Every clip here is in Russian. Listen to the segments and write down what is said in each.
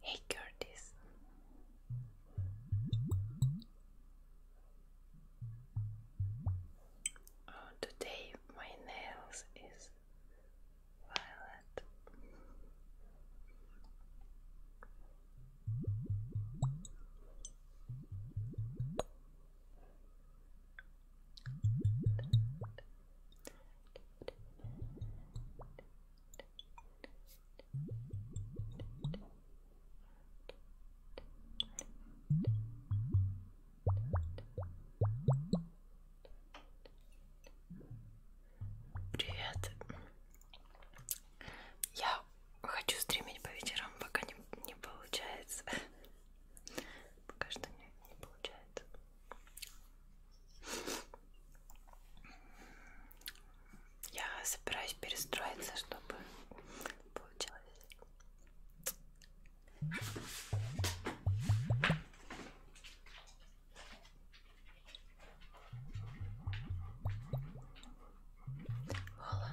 Hey, Curtis. Oh, today my nails is violet. Привет. Я хочу стримить по вечерам, пока не, не получается. Пока что у меня не получается. Я собираюсь перестроиться, чтобы получилось. Мало.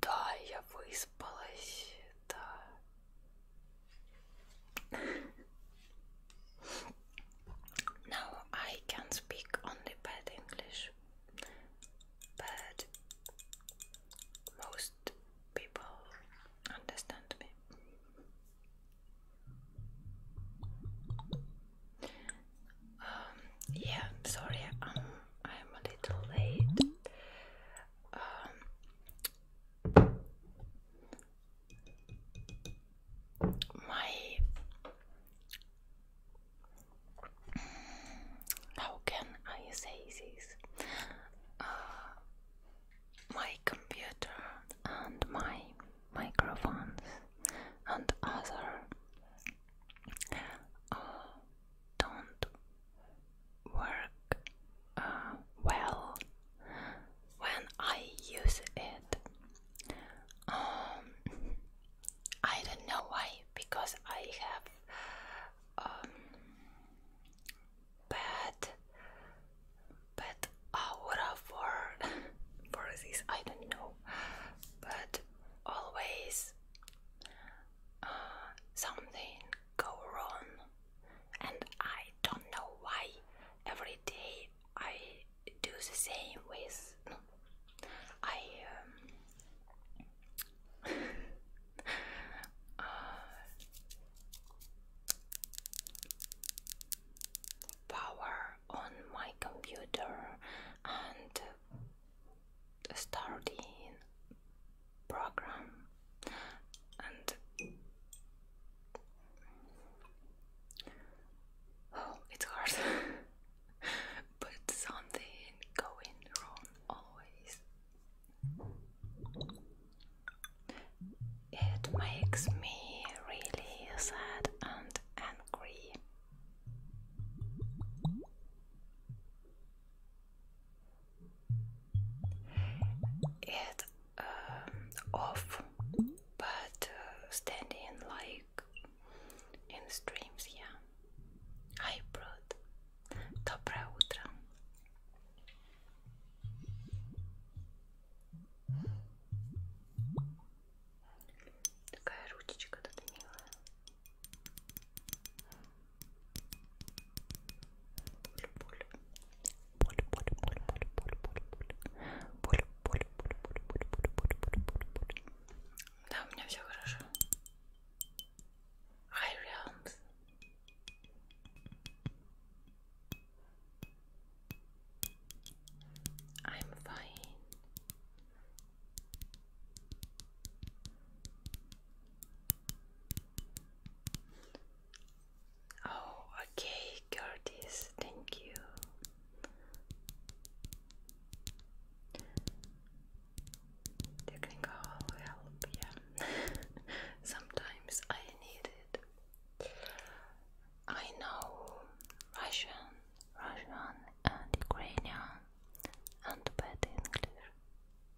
Да, я выспалась, да. Now I can speak only bad English, but most people understand me. Um, yeah, sorry, I'm a little late. Um, my how can I say this? Uh, my computer and my microphones and other uh, don't work uh, well when I use it. Um, I don't know why, because I have um, bad, bad aura for for this. I don't know, but always something go wrong, and I don't know why. Every day I do the same with. I um, power on my computer and starting program and oh it's hard but something going wrong always it makes me really sad and angry it uh, off, but uh, standing like in streams, yeah. Hybrid. Доброе утро. Такая ручечка тут милая. Да, у меня все хорошо. High realms. I'm fine. Oh, okay, Curtis, thank you. Technical help, yeah. Sometimes I need it. I know Russian, Russian, and Ukrainian, and bad English.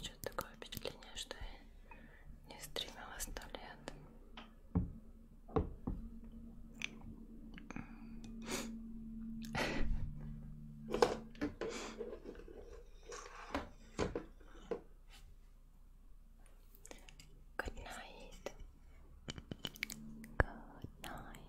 Что-то такое впечатление, что я не стримила сто лет. Good night. Good night.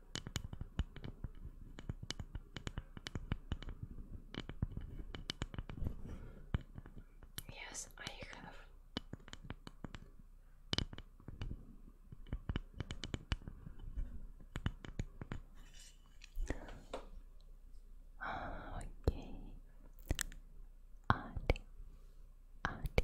Yes, I have. Okay. Adi, Adi,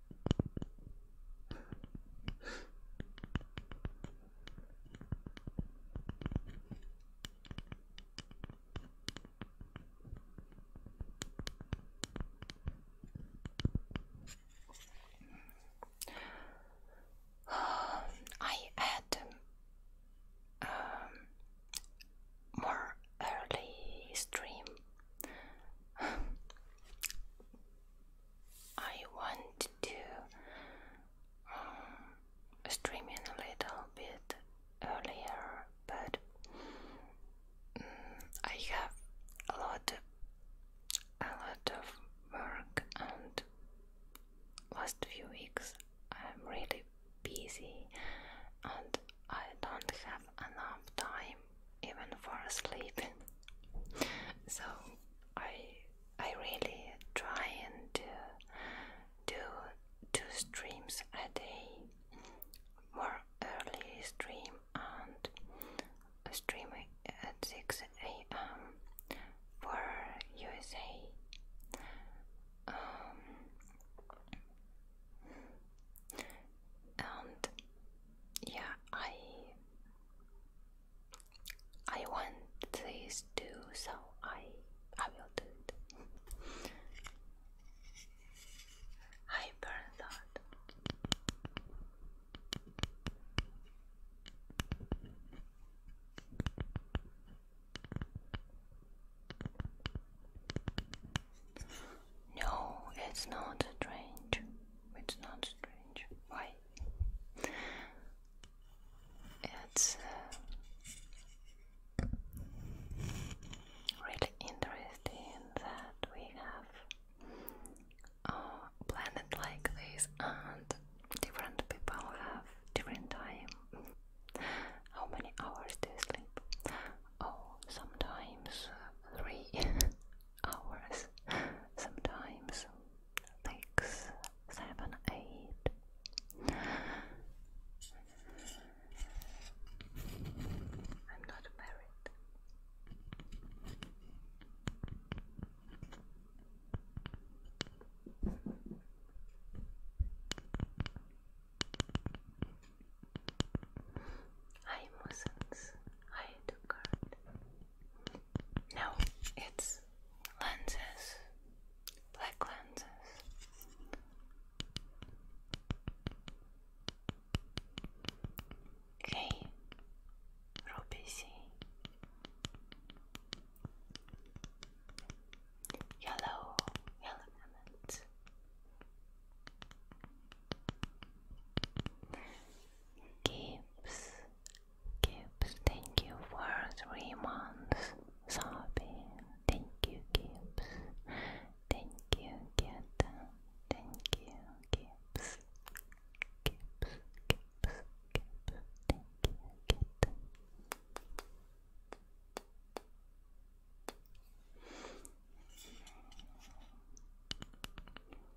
I had um, more early stream I want to um, stream in a little bit earlier, but mm, I have a lot, a lot of work, and last few weeks I'm really busy, and I don't have enough time even for sleep. so I I really try and do two streams a day, more early stream and a stream at six a.m. for USA. Um, and yeah, I I want this too, so I I will do it. I burn that. No, it's not strange. It's not strange. Why? It's uh, really interesting that we have a uh, planet like this and different people have different time. How many hours do you sleep? Oh, sometimes three hours, sometimes like eight. I'm not married. Hi, Muslims. Hi, no, it's lenses, black lenses. Okay, Ruby C. Yellow, yellow element. Gibbs, Gibbs, thank you for three months. Sobbing, thank you, Gibbs. Thank you, Geta. Thank you, Gibbs. Gibbs, Gibbs, Gibbs. Thank you, Geta.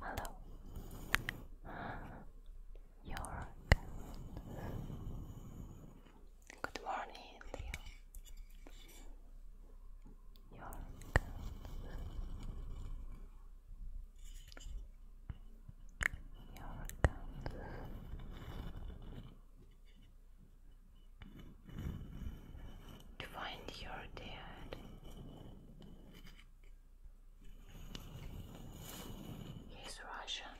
Hello. Your Good morning, Leo. Your Your To find your dad. He's Russian.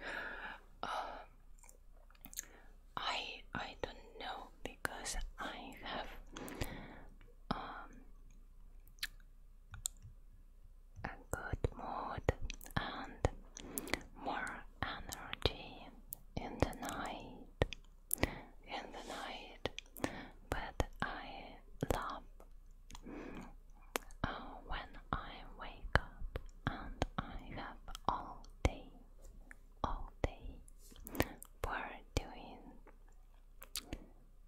Uh, I I don't know because I have um, a good mood and more energy in the night, in the night, but I love uh, when I wake up and I have all day, all day for doing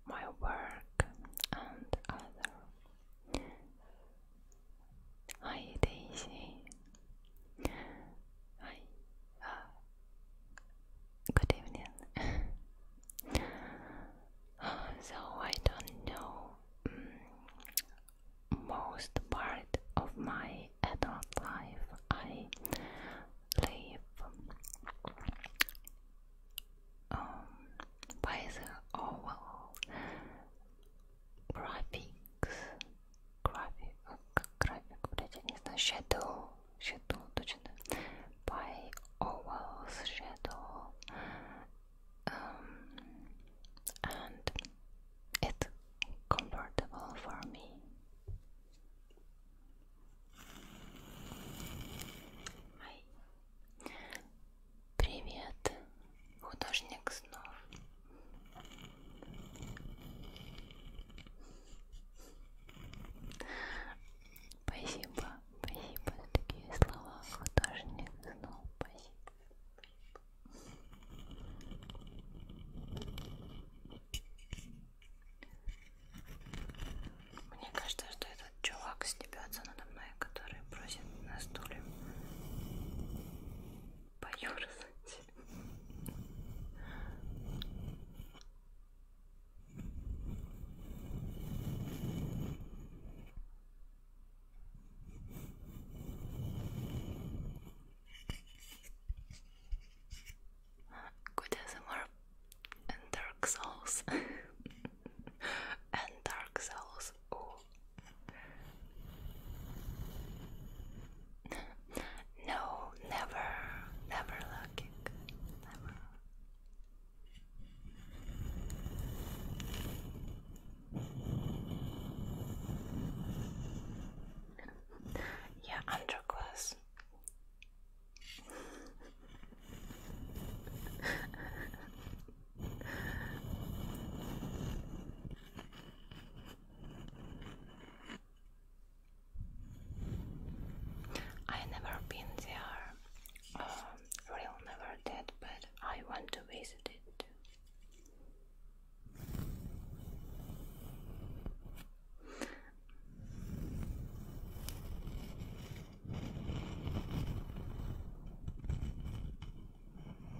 my work and other Hi Daisy. Hi. good evening. so I don't know mm, most part of my adult life. I live um, by the oval graphics by ovals, shadow, and it's comfortable for me. Hi. Привет, художник снов. Спасибо, спасибо за такие слова. Художник снова спасибо. Мне кажется, что этот чувак стебется надо мной, который просит на стуле. поерзать. Good ASMR and Dark Souls and Dark Souls. Oh. no, never, never looking. yeah, underclass. I never been there, um, real never did, but I want to visit it. too.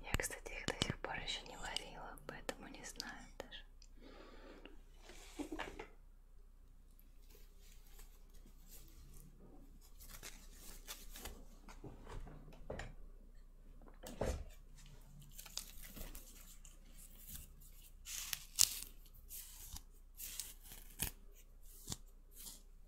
Я, кстати, их до сих пор еще не варила, поэтому не знаю даже. Ну,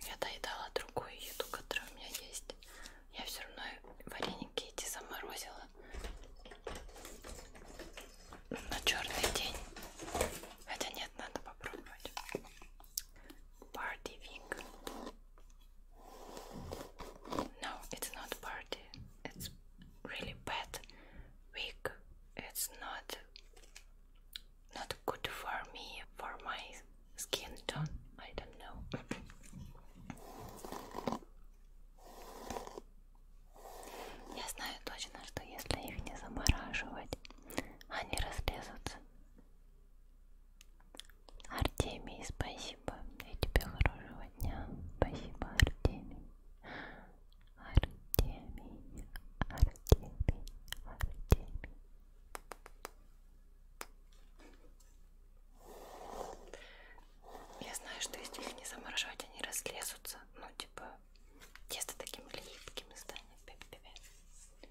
я доедала другую еду, которая у меня есть. Я все равно вареники эти заморозила на черный день. Хотя нет, надо попробовать. Party Week. No, it's not party. It's really bad week. It's not not good for me for my skin tone. I don't know. Я знаю точно, что если их не замораживать, они разлезутся. Артемий, спасибо. И тебе хорошего дня. Спасибо, Артемий. Артемий, Артемий, Артемий. Я знаю, что если их не замораживать, они разлезутся. Ну, типа, тесто таким липким станет. Пип -пип -пип.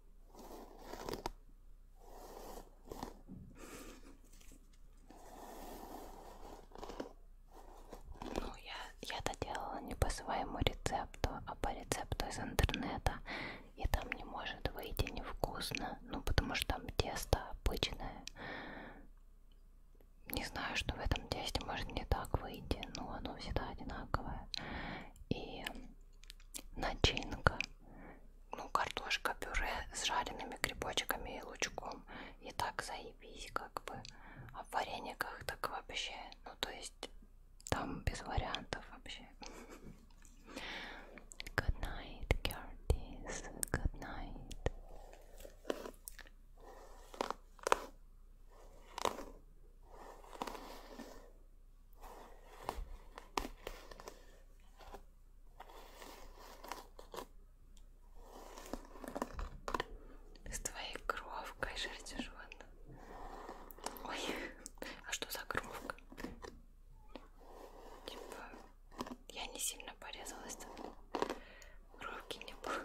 Ну, я, я это делала не по своему рецепту, а по рецепту из интернета. И там не может выйти невкусно, ну потому что там тесто обычное. Не знаю, что в этом тесте может не так выйти, но оно всегда одинаковое. И начинка, ну картошка пюре с жареными грибочками и лучком. И так заебись, как бы. А в варениках так вообще, ну то есть там без вариантов вообще. Good night, Curtis. Good night. С твоей кровкой шерстью животных. Ой, а что за кровка? Типа, я не сильно порезалась, кровки не было.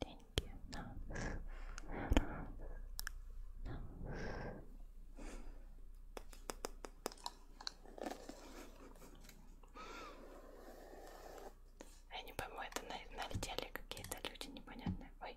Деньги нас, нас, нас. Я не пойму, это налетели какие-то люди непонятные. Ой.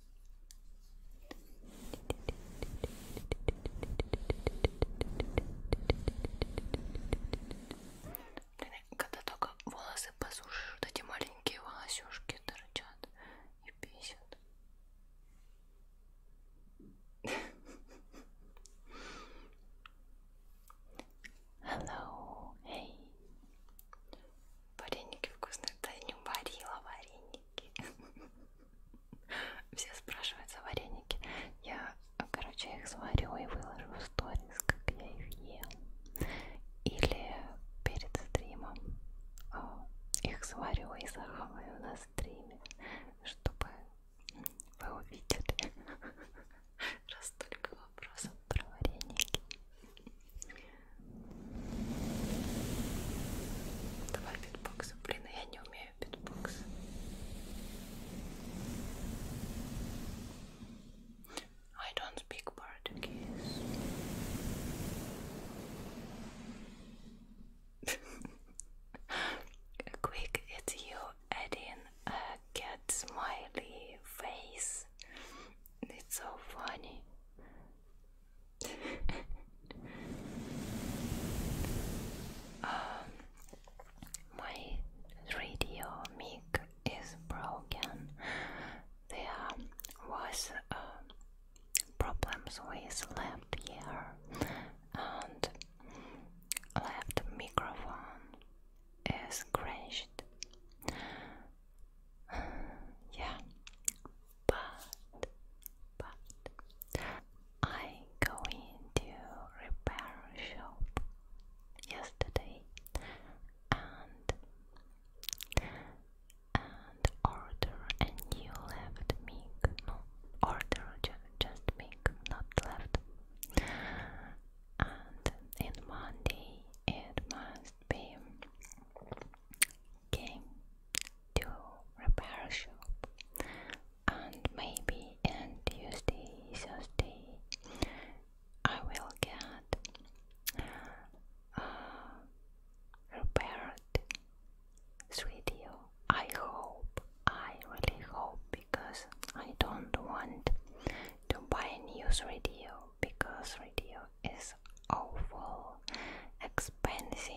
Когда только волосы посушишь, вот эти маленькие волосюшки торчат и бесят. Hello, hey. Вареники вкусные, да я не варила вареники. Все спрашивают за вареники. Я, короче, их сварю и выложу в сторис, как я их ем. Или перед стримом а, их сварю и захаваю на стриме, чтобы вы увидели. Раз только вопросов про вареники. Давай битбоксу. Блин, я не I don't speak Portuguese. Quick, it's you adding a cat smiley face. It's so funny. Um, my radio mic is broken. There was um, problems with left ear and left microphone is crashed. yeah, but but I go into repair shop yesterday and and order a new left mic no order ju just mic not left and in Monday it must be came to repair shop and maybe on Tuesday, Thursday I will get uh, repaired video. I hope, I really hope because I don't want to buy a new radio because radio is awful expensive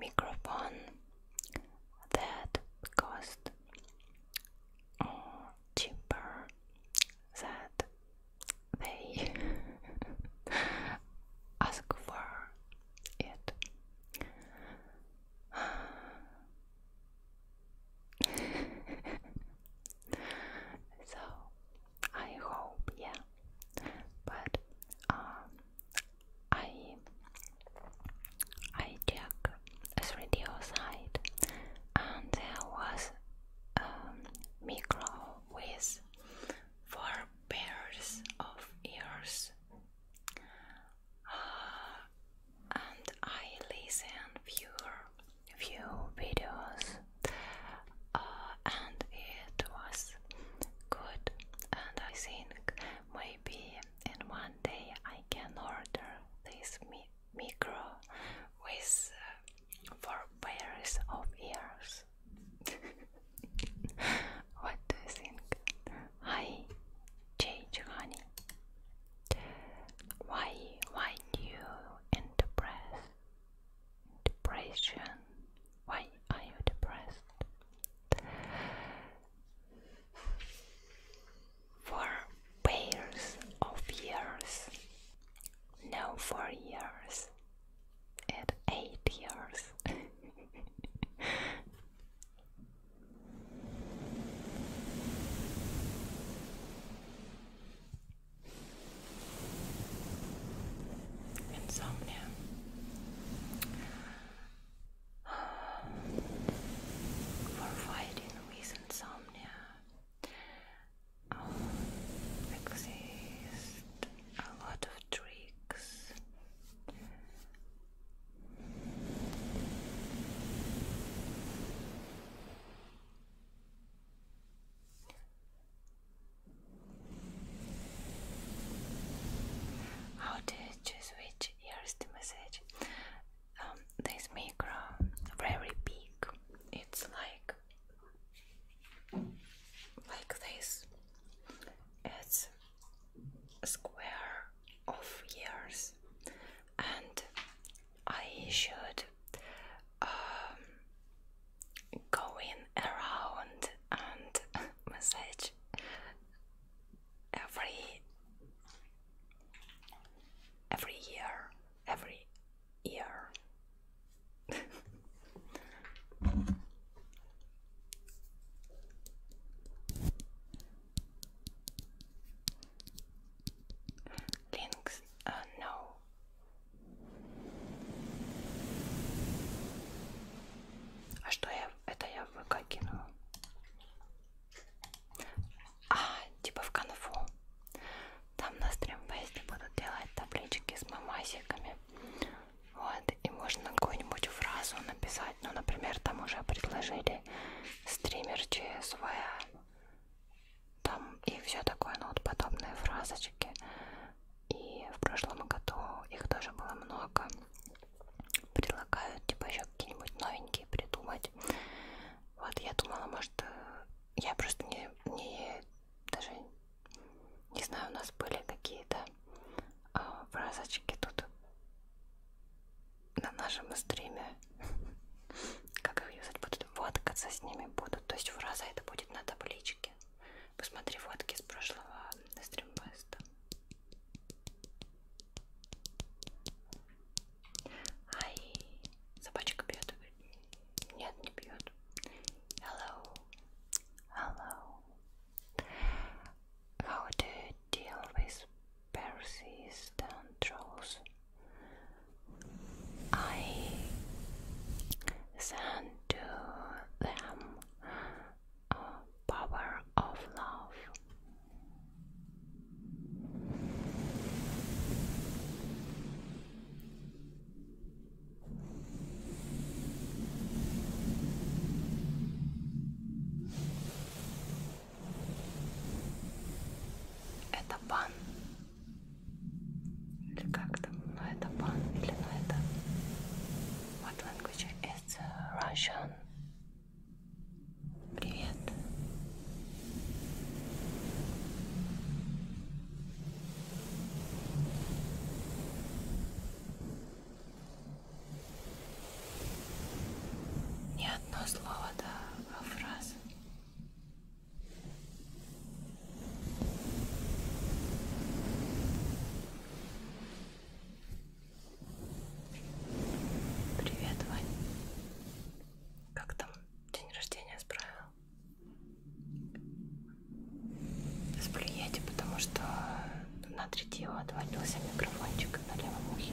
microphone that cost cheaper that they ask for it. so I hope, yeah. But um, I I check 3D site and there was a micro with four pairs of ears uh, and I listened few few videos uh, and it was good, and I think maybe in one day I can order this micro with uh, four pairs of ears. what do you think? Hi, change honey. Why, why do you interpret depression why are you depressed? For pairs of years, no, for years, at eight years. Insomnia for fighting with insomnia. exist a lot of tricks. How do choose which ears to massage? Um, this micro very big. It's like like this. It's square of ears, and I should um, go in around and massage every every year every year links uh, no Это я в ВК кинула. А, типа в конфу. Там на стримфесте будут делать таблички с мамасиками. Вот, и можно какую-нибудь фразу написать. Ну, например, там уже предложили стример ЧСВ. Там и все такое, ну вот подобные фразочки. И в прошлом году их тоже было много. Предлагают, типа, еще какие-нибудь новенькие придумать. Вот я думала, может, э, я просто не, не даже не знаю, у нас были какие-то а, фразочки тут на нашем стриме. Как их юзать будут? Водкаться с ними будут. То есть фраза это будет на табличке. Посмотри водки с прошлого э, стримфеста. Hi. Собачка пьет. Нет, не пьет. Hello. Hello. How do you deal with and trolls? I send to them Power of Love. Это пан. Или как там? Но ну, это пан или но ну, это what language is э, with Russian. Привет. Не одно слово, да, а фраза. Привет, Вань. Как там день рождения справил? Сплюете, потому что на третьего отвалился микрофончик на левом ухе.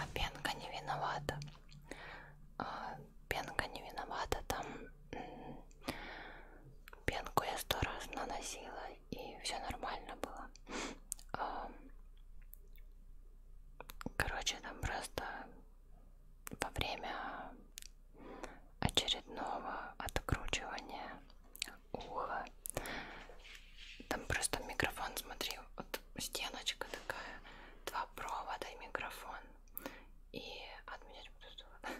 А пенка не виновата. А, пенка не виновата, там пенку я сто раз наносила и все нормально было. А, короче, там просто во время очередного откручивания ухо. Там просто микрофон, смотри, вот стеночка такая, два провода и микрофон. И от меня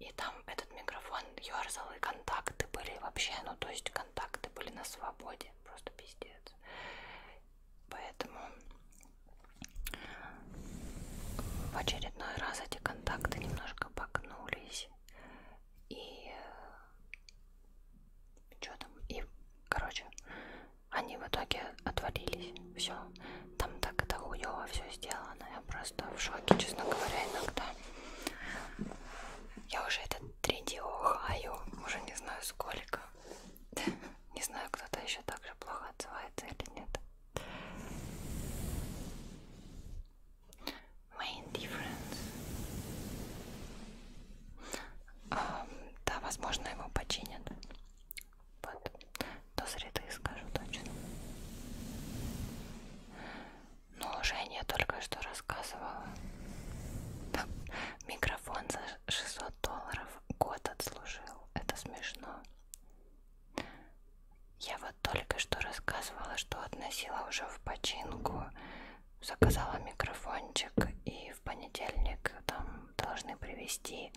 И там этот микрофон ерзал, и контакты были вообще, ну то есть контакты были на свободе, просто пиздец. Поэтому в очередной раз эти контакты немножко погнулись и э, что там, и, короче, они в итоге отвалились, все, там так это хуево все сделано, я просто в шоке, честно говоря, иногда. Я уже это третий ухаю, уже не знаю сколько. Не знаю, кто-то еще так же плохо отзывается или нет. Main difference. А, да, возможно, его починят. Вот. До среды скажу точно. Но Женя только что рассказывала. Да. Микрофон за 600 долларов год отслужил. Это смешно. Я вот только что рассказывала, что относила уже в починку заказала микрофончик и в понедельник там должны привезти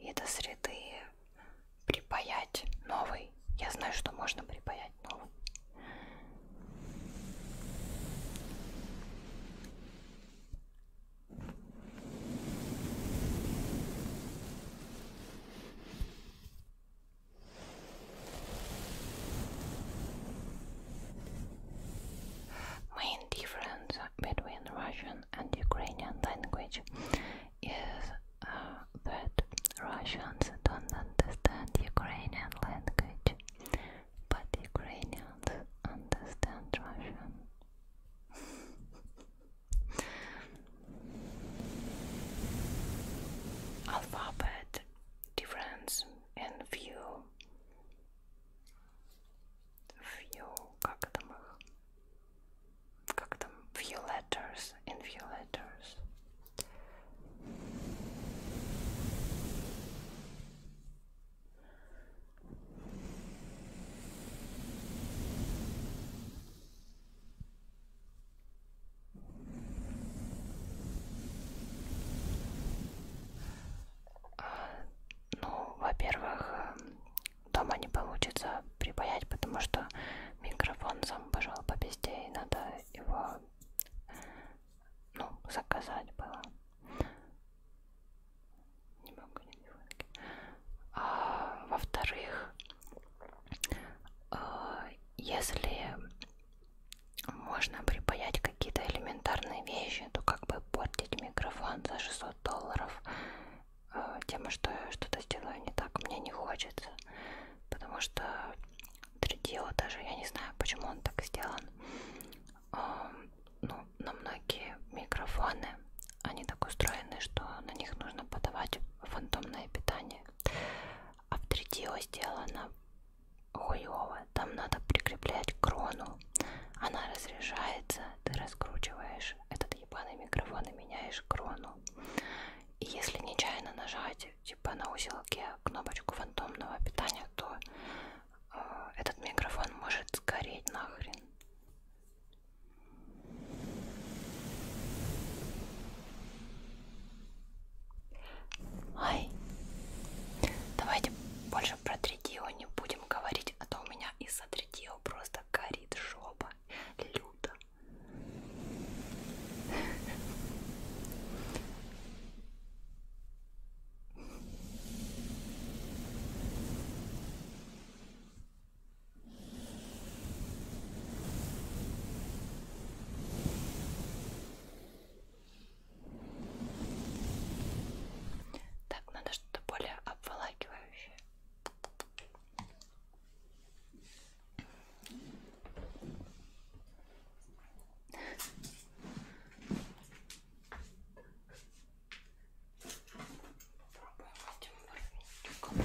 и до среды припаять новый. Я знаю, что можно припаять новый. Main difference between Russian and Ukrainian language is uh, that Russians don't understand Ukrainian language, but Ukrainians understand Russian. Alphabet difference and few few как там как там few letters and few letters Ну, во-первых, э, дома не получится припаять, потому что микрофон сам пошел по пизде, и надо его ну, заказать было. Не могу не а, Во-вторых, э, если можно припаять какие-то элементарные вещи, то как бы портить микрофон за 600 долларов э, тем, что я что-то сделаю не так, мне не хочется. Потому что 3D даже, я не знаю, почему он так сделан. Э, ну, на многие микрофоны они так устроены, что на них нужно подавать фантомное питание. А в 3D сделано хуево. Там надо прикреплять крону. Она разряжается, ты раскручиваешь этот ебаный микрофон и меняешь крону. И если нечаянно нажать, типа на узелке, кнопочку фантомного питания, то э, этот микрофон может сгореть нахрен. Ай. Давайте больше про тритио не будем говорить, а то у меня из-за тритио просто горит жопа. Люто. Так, надо что-то более обволакивающее. Пробуем этим ворвинчиком.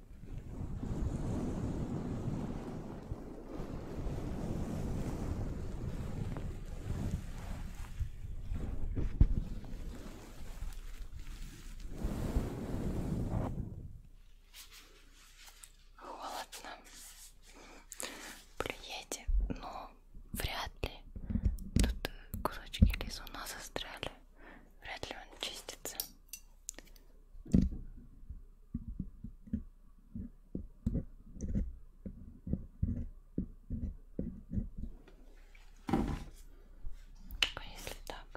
Холодно. Плюете, но вряд ли. Тут э, кусочки лизуна застряли. Вряд ли он чистится. А если так?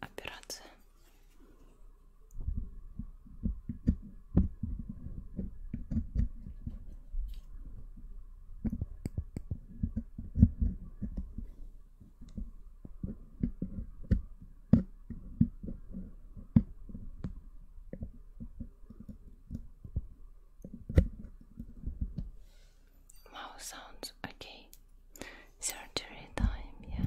Операция Mouth sounds okay. Surgery time, yeah.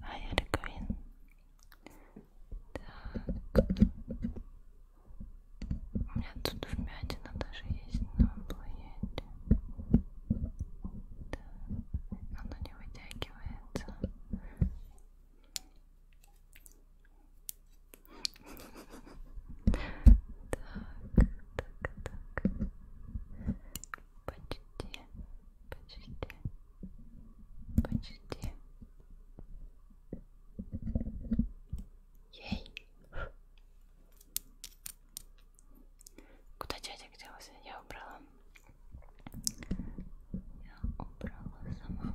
А я Риквин. Так. У меня тут вмятина даже есть на планете. Да. Оно не вытягивается. Так, так, так почти, почти, почти. Ей! Куда чатик делся? Я убрала. Я убрала сама.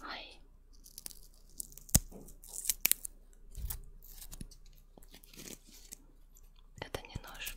はい это не нож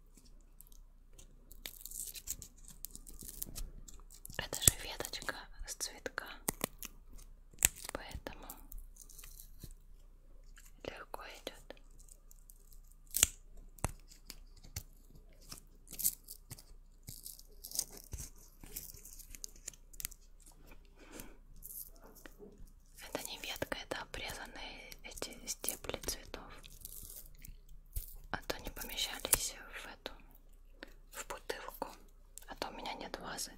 Это же веточка с цветка, поэтому легко идет. Это не ветка, это обрезанные эти стебли цветов, а то не помещались в эту, в бутылку, а то у меня нет вазы.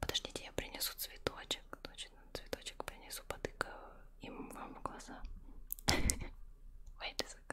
Подождите, я принесу цветочек так точно цветочек принесу, потыкаю им вам в глаза. Wait a second.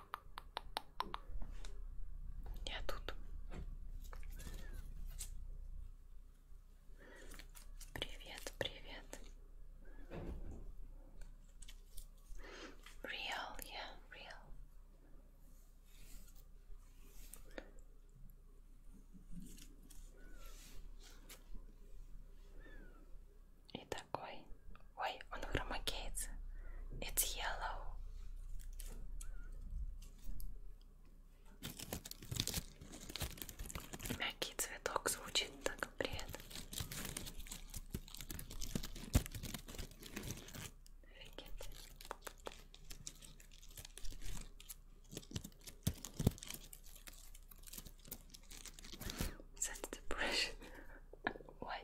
Я тут. Привет, привет. Real, yeah, real. И такой Ой, он громокеется. It's yellow. Мягкий цветок звучит так приятно. Офигеть. That's depression. Why?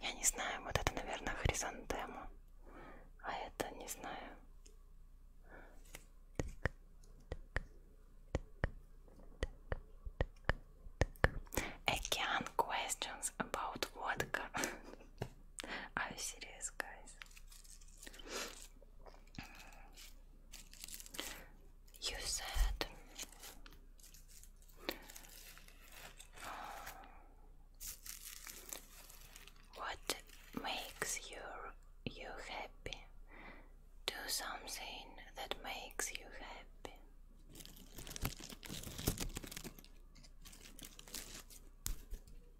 Я не знаю, вот это, наверное, хризантема, а это не знаю. Again questions about vodka. Are you serious, guys? You said what makes you you happy? Do something that makes you happy.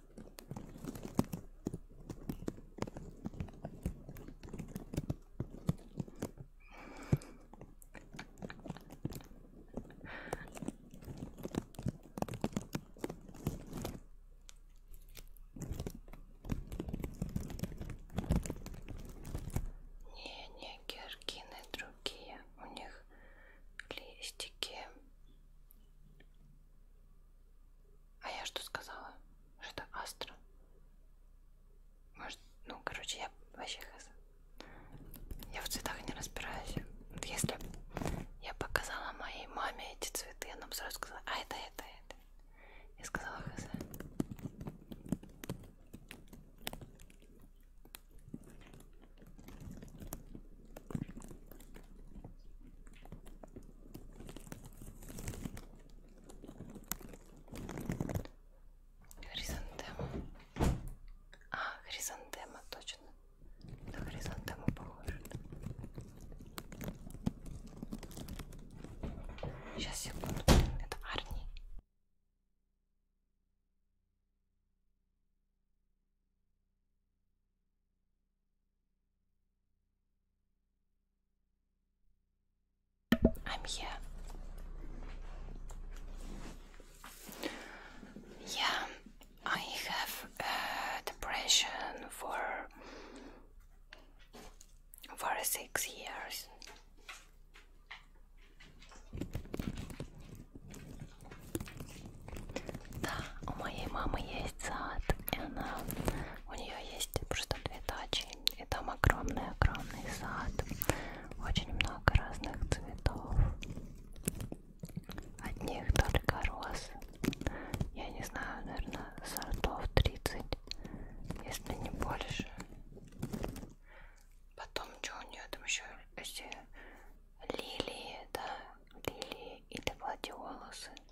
Не, не георгины другие, у них листики а я что сказала? Что это Астра? Может, ну, короче, я вообще хз. Я в цветах не разбираюсь. Вот если я показала моей маме эти цветы, она бы сразу сказала, а это, это, это. Я сказала хз. Хризантема. А, хризантема, точно. На хризантему похоже. Сейчас, секунду, это Арни. I'm here. Yeah, I have uh, depression for for six years. Да, у моей мамы есть сад, и она, у нее есть просто типа две дачи, и там огромный-огромный сад, очень много разных цветов, одних только роз, я не знаю, наверное, сортов 30, если не больше. Потом, что у нее там еще эти лилии, да, лилии или гладиолусы.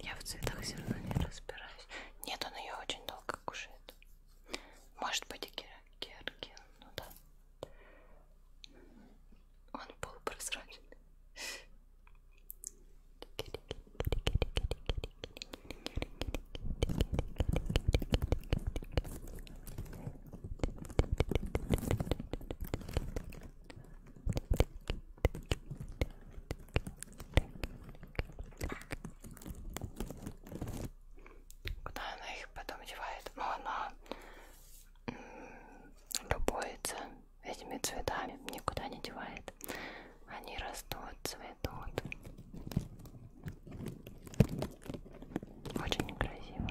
Я в цветах все равно не разбираюсь. Нет, он ее очень долго кушает. Может быть и геркин, ну да. Он полупрозрачный. Куда она их потом девает? Ну, она любуется этими цветами, никуда не девает. Они растут, цветут. Очень некрасиво.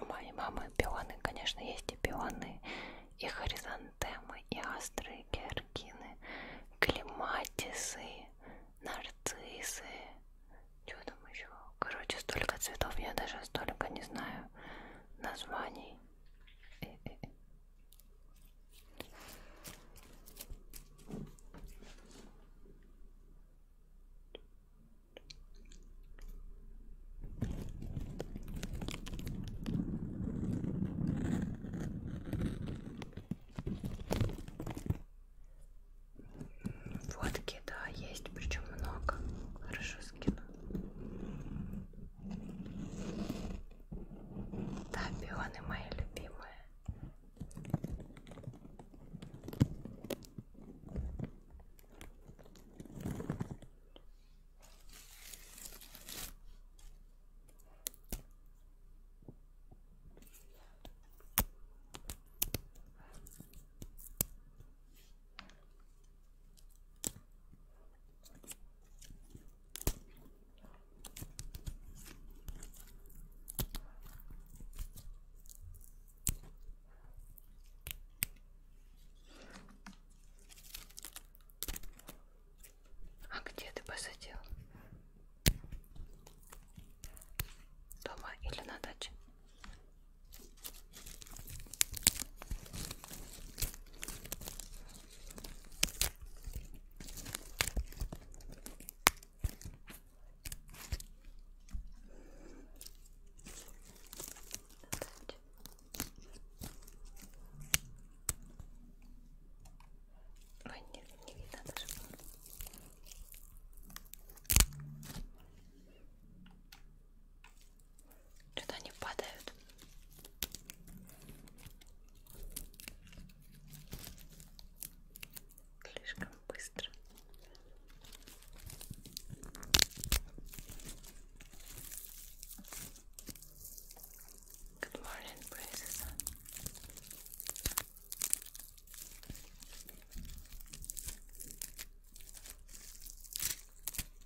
У моей мамы пионы, конечно, есть и пионы, и хоризонтемы, и астры, и георгины, клематисы, нарциссы. Что там еще? Короче, столько цветов, я даже столько не знаю названий. Водки, да, есть, причем много. Хорошо скину. Да, пионы мои любимые. А где ты посадил? Дома или на даче? Ой, нет, не видно даже. Что-то они падают. Слишком быстро. Good morning, princess.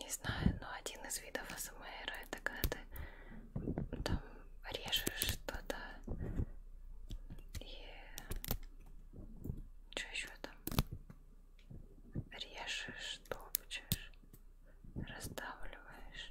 Не знаю, но один из видов АСМР это когда ты там режешь что-то и что еще там режешь, топчешь, раздавливаешь.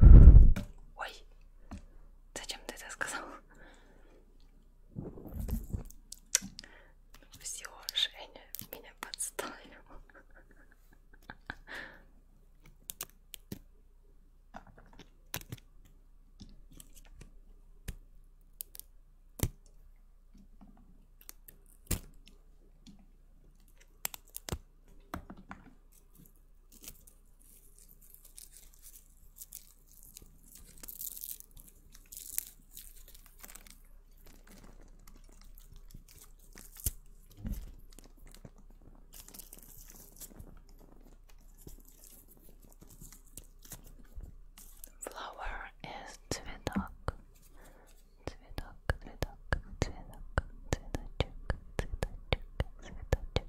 Ой, зачем ты это сказал? Все, Женя меня подставил. Flower is цветок. Цветок, цветок, цветок, цветочек, цветочек, цветочек,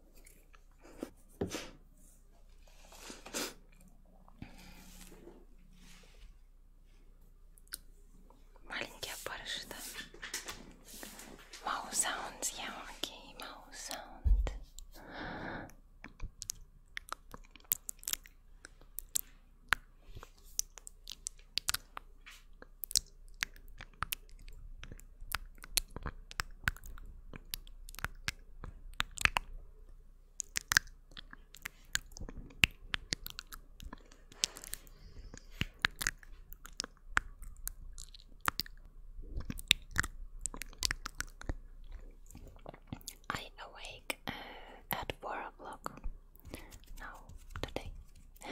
Маленькие опарыши, да? Маусаунд, яркий маусаунд. I awake uh, at four o'clock now today.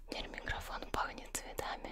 Теперь микрофон пахнет цветами.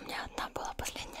У меня одна была последняя.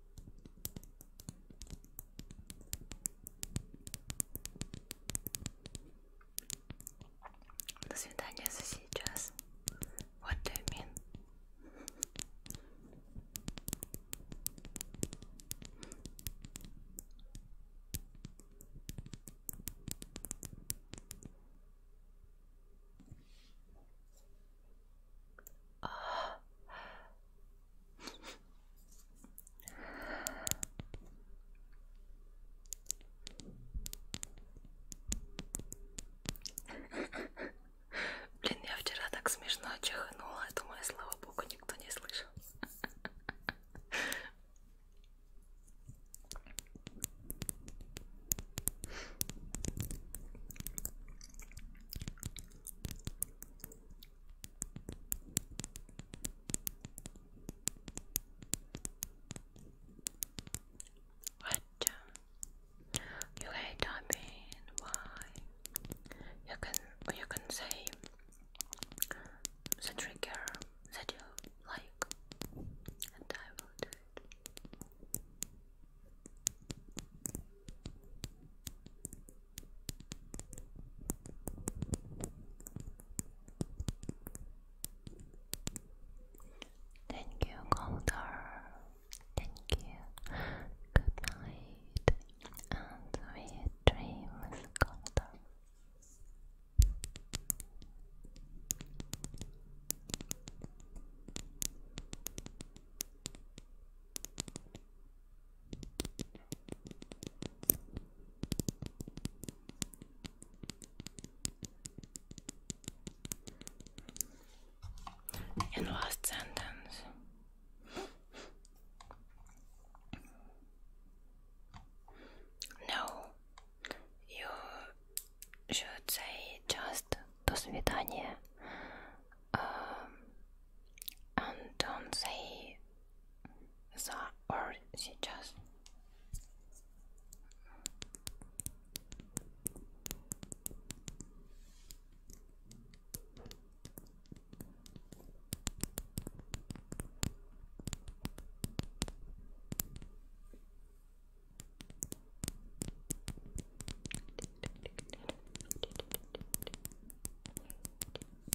До свидания за сейчас. What do you mean? Блин, я вчера так смешно чихнула, думаю, слава богу, никто не слышал. What? You hate typing? Why? You can you can say the trigger that you like, and I will do it. Thank you, Golder. Thank you. Good night and sweet dreams, Golder. In last sentence. No, you should say just "до um, and don't say the or she just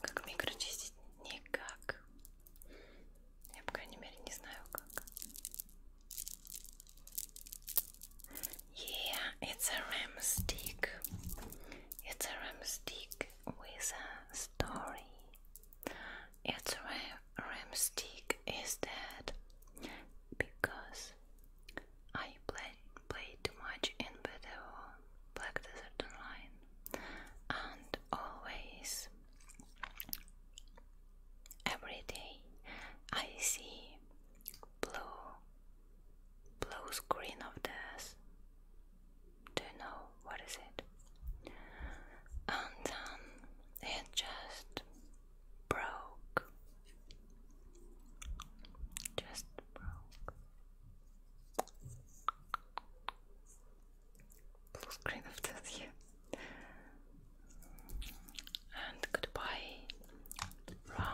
Как микрочистить? Никак. Я, по крайней мере, не знаю как. Yeah, it's a ram stick. It's a ram stick with a story. Its ram stick is dead because I play played too much in Battle Black Desert Online and always every day I see blue blue screen of death do you know what is it? And then um, it just broke. Just broke. Blue screen of this And goodbye from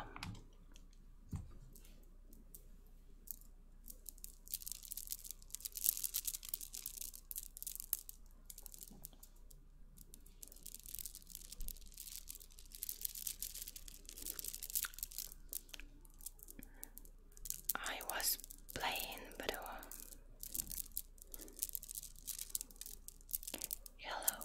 I was playing, but uh, hello.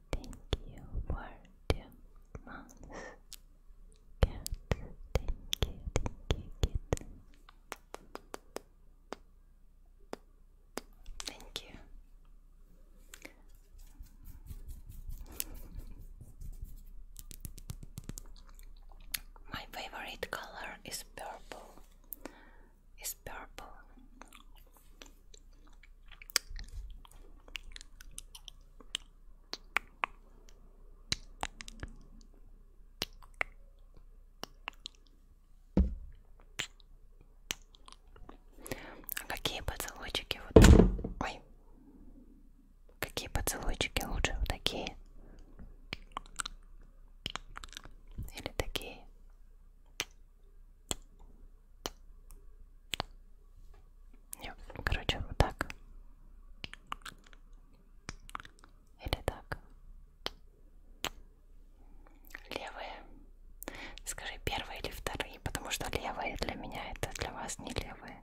Thank you for two months. Cat, thank you, thank you, Thank you. My favorite color is purple. Is purple. А какие поцелуйчики вот... Ой. Какие поцелуйчики лучше? Вот такие? Или такие? Нет, короче, вот так. Или так. Левые. Скажи, первые или вторые, потому что левые для меня это для вас не левые.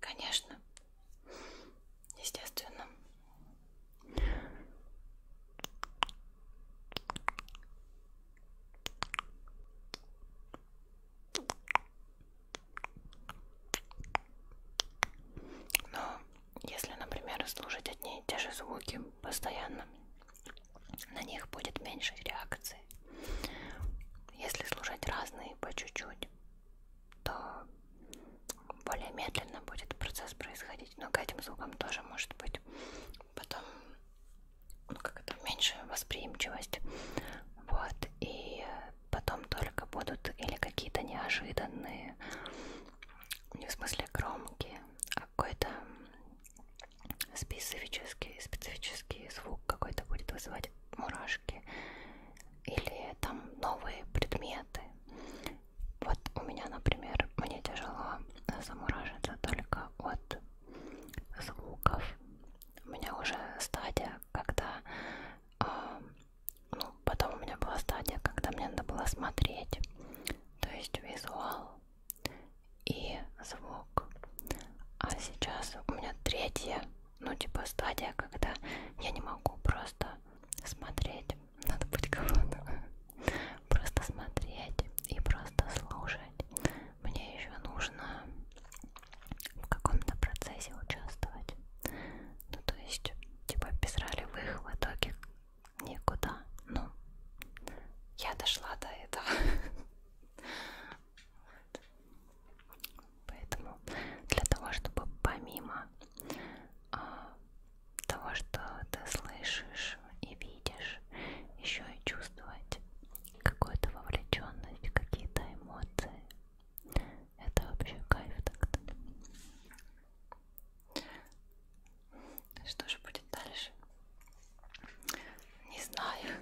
Конечно, естественно. Но если, например, слушать одни и те же звуки постоянно, на них будет меньше реакции. Если слушать разные по чуть-чуть, то более медленно будет процесс происходить. Но к этим звукам тоже может быть потом ну, как это, меньше восприимчивость. Вот. И потом только будут или какие-то неожиданные, не в смысле громкие, а какой-то специфический, специфический звук какой-то будет вызывать мурашки или там новые предметы. Вот у меня, например, мне тяжело замуражиться только от звуков. У меня уже стадия, когда... Э, ну, потом у меня была стадия, когда мне надо было смотреть. То есть визуал и звук. А сейчас у меня третья, ну, типа стадия, когда я не могу просто смотреть надо быть кого-то просто смотреть и просто слушать мне еще нужно в каком-то процессе участвовать ну то есть типа без ролевых в итоге никуда ну я дошла до этого вот. Поэтому для того, чтобы помимо а, того, что ты слышишь и видишь, еще и чувствовать какую-то вовлеченность, какие-то эмоции, это вообще кайф так-то. Что же будет дальше? Не знаю.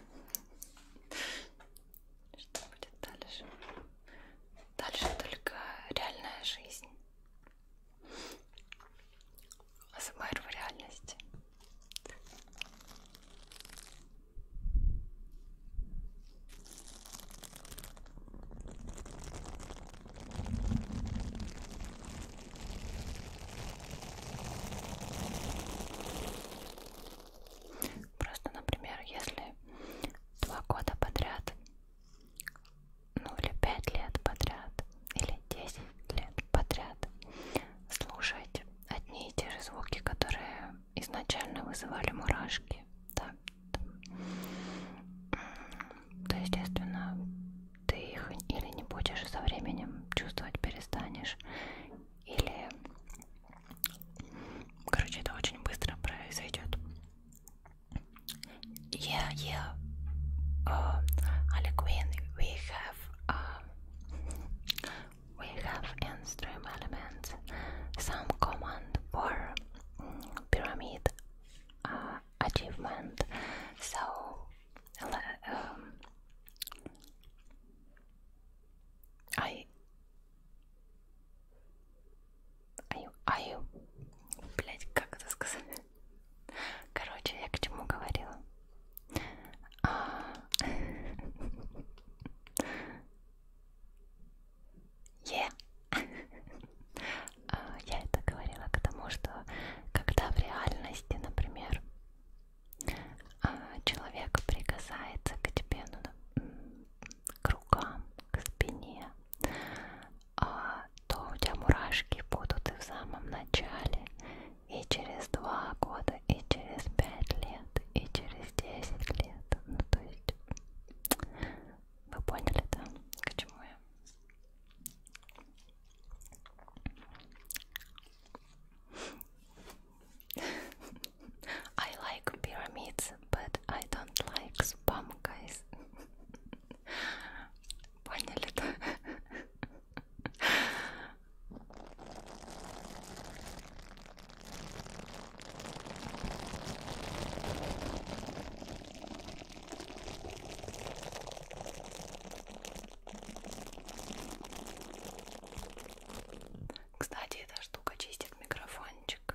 Что будет дальше? Дальше только реальная жизнь. АСМР в реальности. Просто, например, если два года подряд ну или пять лет подряд, или десять лет подряд слушать одни и те же звуки, которые изначально вызывали мурашки. Да. То естественно, ты их или не будешь со временем чувствовать перестанешь, или короче это очень быстро произойдет. Yeah, yeah. Uh, Queen, we have uh, we have in stream elements some command for mm, pyramid uh, achievement. So um, I Аю, аю. Блять, как это сказать? Короче, я к чему говорила? А, е. А, я это говорила к тому, что когда в реальности, например, а, человек прикасается к тебе, ну, к рукам, к спине, а, то у тебя мурашки будут и в самом начале, и через два года, и через пять лет, и через десять лет. Ну, то есть, вы поняли, да, к чему я? I like pyramids but I don't like spam, guys. Поняли, да? Кстати, эта штука чистит микрофончик.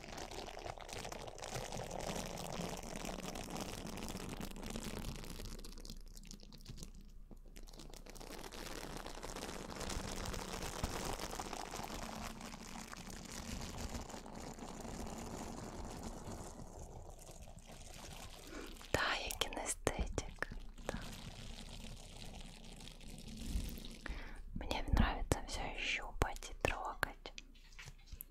Да, я кинестетик. Да. Мне нравится все щупать и трогать.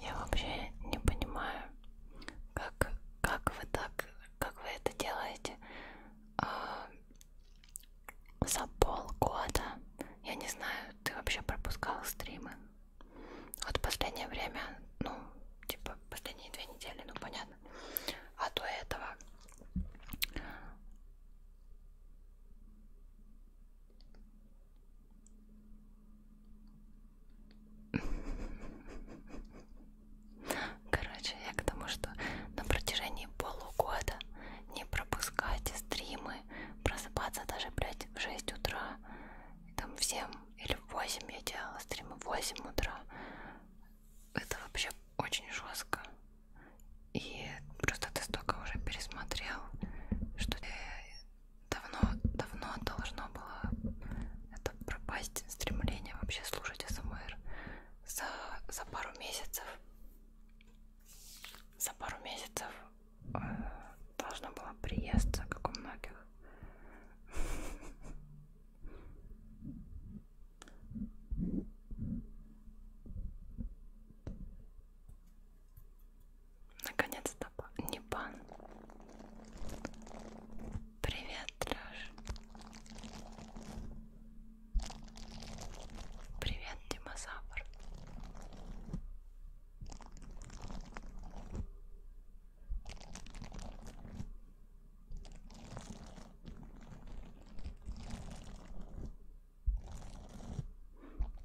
Я вообще не понимаю, как, как вы так, как вы это делаете а, за полгода. Я не знаю, ты вообще пропускал стримы. Вот последнее время, ну, типа последние две недели, ну понятно. А до этого Короче, я к тому, что на протяжении полугода не пропускайте стримы, просыпаться даже, блядь, в 6 утра, там в 7 или в 8 я делала стримы, в 8 утра. Это вообще очень жестко. И просто ты столько уже пересмотрел, что ты э, давно, давно должно было это пропасть стремление вообще слушать СМР за, за пару месяцев. За пару месяцев э, должно было приезд, как у многих. Наконец-то не бан. Привет, Лёш. Привет, динозавр.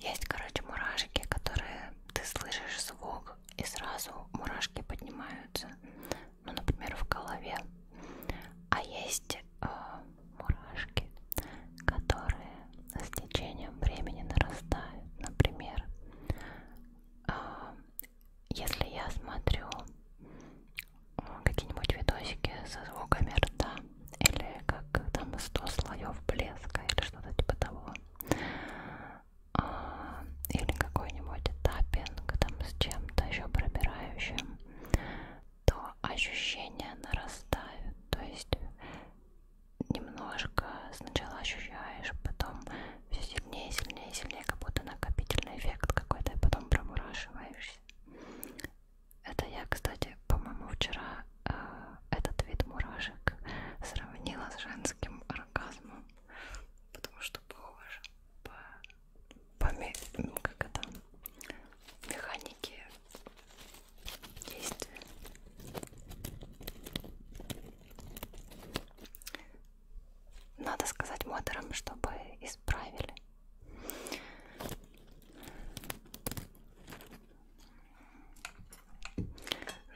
Есть, короче, мурашки, которые ты слышишь звук и сразу мурашки поднимаются. Ну, например, в голове. А есть э, мурашки, которые с течением времени нарастают. Например, э, если я смотрю э, какие-нибудь видосики со звуками рта или как там 100 слоев блеска или что-то типа того а, или какой-нибудь таппинг там с чем-то еще пробирающим то ощущения нарастают то есть немножко сначала ощущаешь потом все сильнее сильнее сильнее как будто накопительный эффект какой-то и потом промурашиваешься это я, кстати, по-моему, вчера э, этот вид мурашек сравнила с женским оргазмом, потому что похоже по, по как это, механике действия. Надо сказать модерам, чтобы исправили.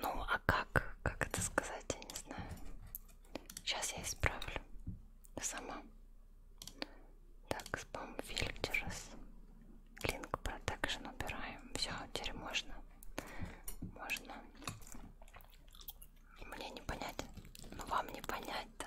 Ну, а как, как это сказать, я не знаю. Сейчас я исправлю сама. Так, спам фильтерс. Link Protection убираем. Все, теперь можно. Можно. Мне не понять. Ну, вам не понять-то.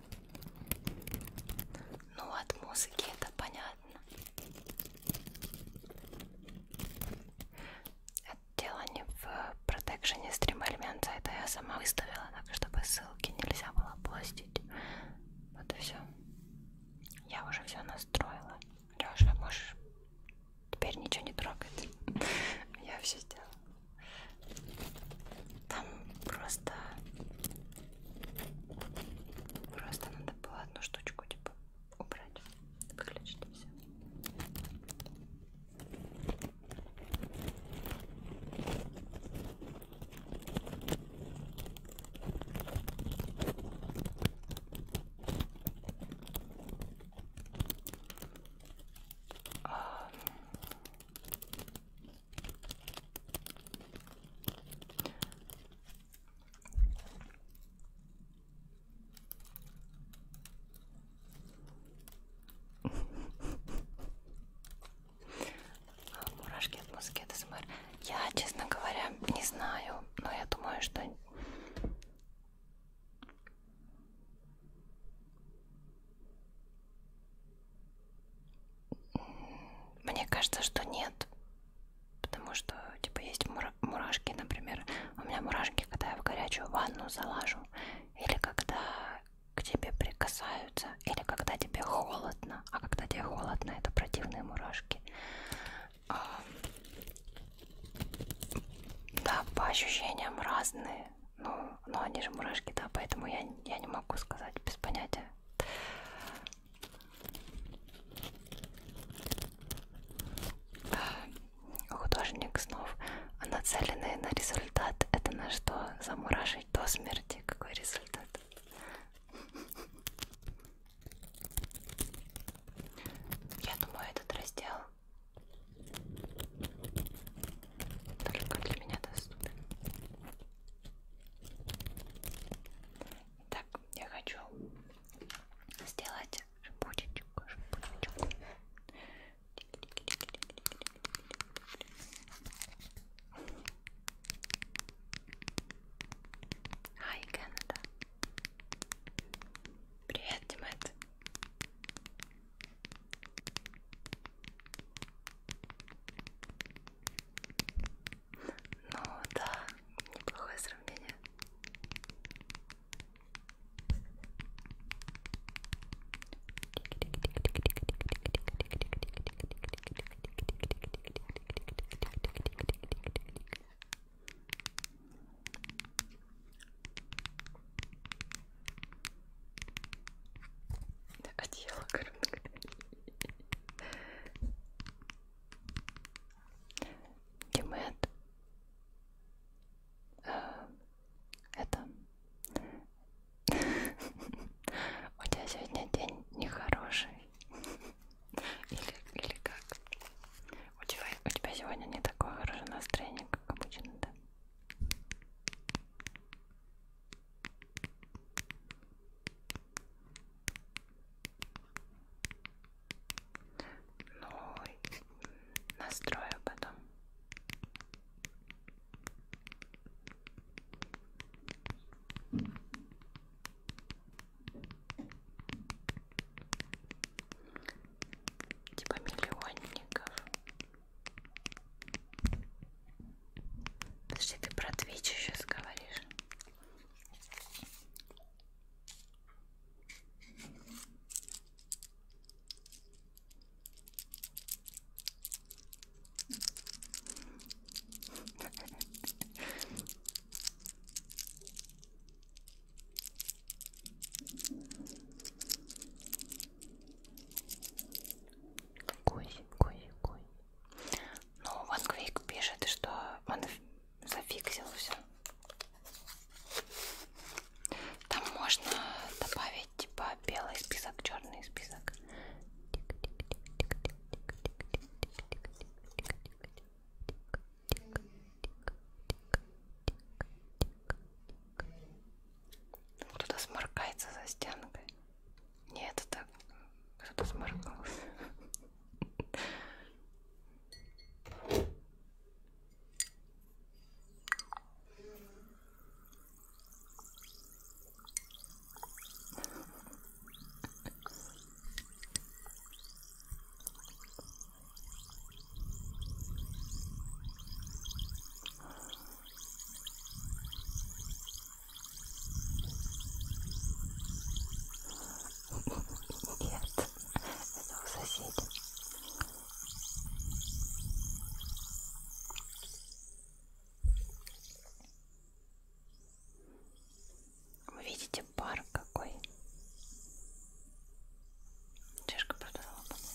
Ну, от музыки это понятно. Это дело не в протекшене стрим-элемента, это я сама выставила, так чтобы ссылки нельзя было постить. Вот и все. Я уже все настроила. Леша, можешь теперь ничего не трогать. Я все сделала. Там просто Просто надо было одну штучку типа убрать, выключить и все. А, мурашки от музыки от СМР. Я, честно говоря, не знаю, но я думаю, что... Мне кажется, что нет. Потому что, типа, есть мура мурашки, например. У меня мурашки, когда я в горячую ванну залажу. Или когда к тебе прикасаются. Или когда тебе холодно. А когда тебе холодно, это противные мурашки. А... Да, по ощущениям разные. Ну, но они же мурашки, да, поэтому я, я не могу сказать без понятия, знаю. Художник снов, а нацеленный на результат. Это на что? Замуражить до смерти. Какой результат? Я думаю, этот раздел только для меня доступен. Так, я хочу сделать шипучечку, шипучечку. Hi, Canada. Привет, Димет. Ну да, неплохое сравнение. Одеяло, коротко. Гимет э, это у тебя сегодня день нехороший или, или как? У тебя, у тебя сегодня не такое хорошее настроение, как обычно, да? Ну, настрою потом. Типа миллионников. Подожди, ты про Twitch сейчас говоришь? Кой, кой, кой. Ну, Ванквик пишет, что он зафиксил все. Там можно добавить типа белый список, черный список. Кто-то сморкается за стенкой. Нет, это так кто-то сморкнулся. Нет, это у соседей. Вы видите пар какой? Чешка продала, по-моему.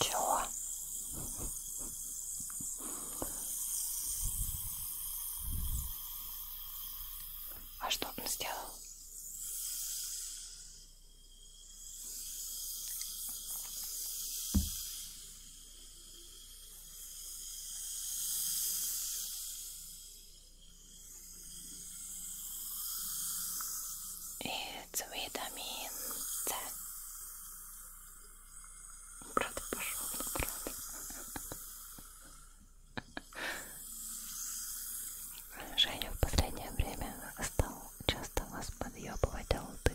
Чего? А что он сделал? It's vitamin C. Брат пошел брат. Женя в последнее время стал часто вас подъебывать, а ты.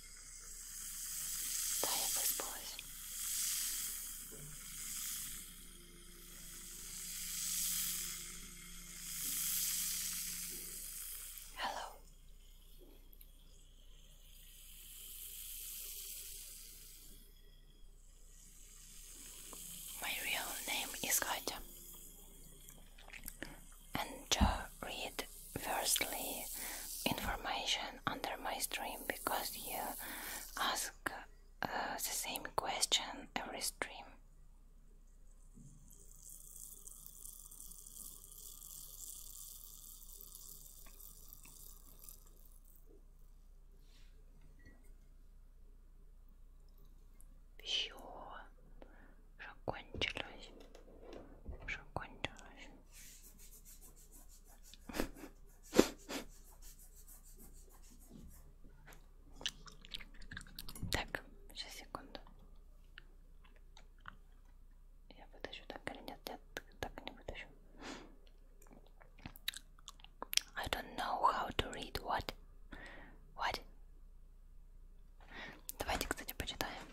Да, я выспалась. Hello. My real name is Katja and Joe Reed firstly information under my stream because you ask uh, the same question every stream. Все, закончилось, закончилось. Так, сейчас секунду. Я вытащу так или нет? Я так не вытащу. I don't know how to read what. What? Давайте, кстати, почитаем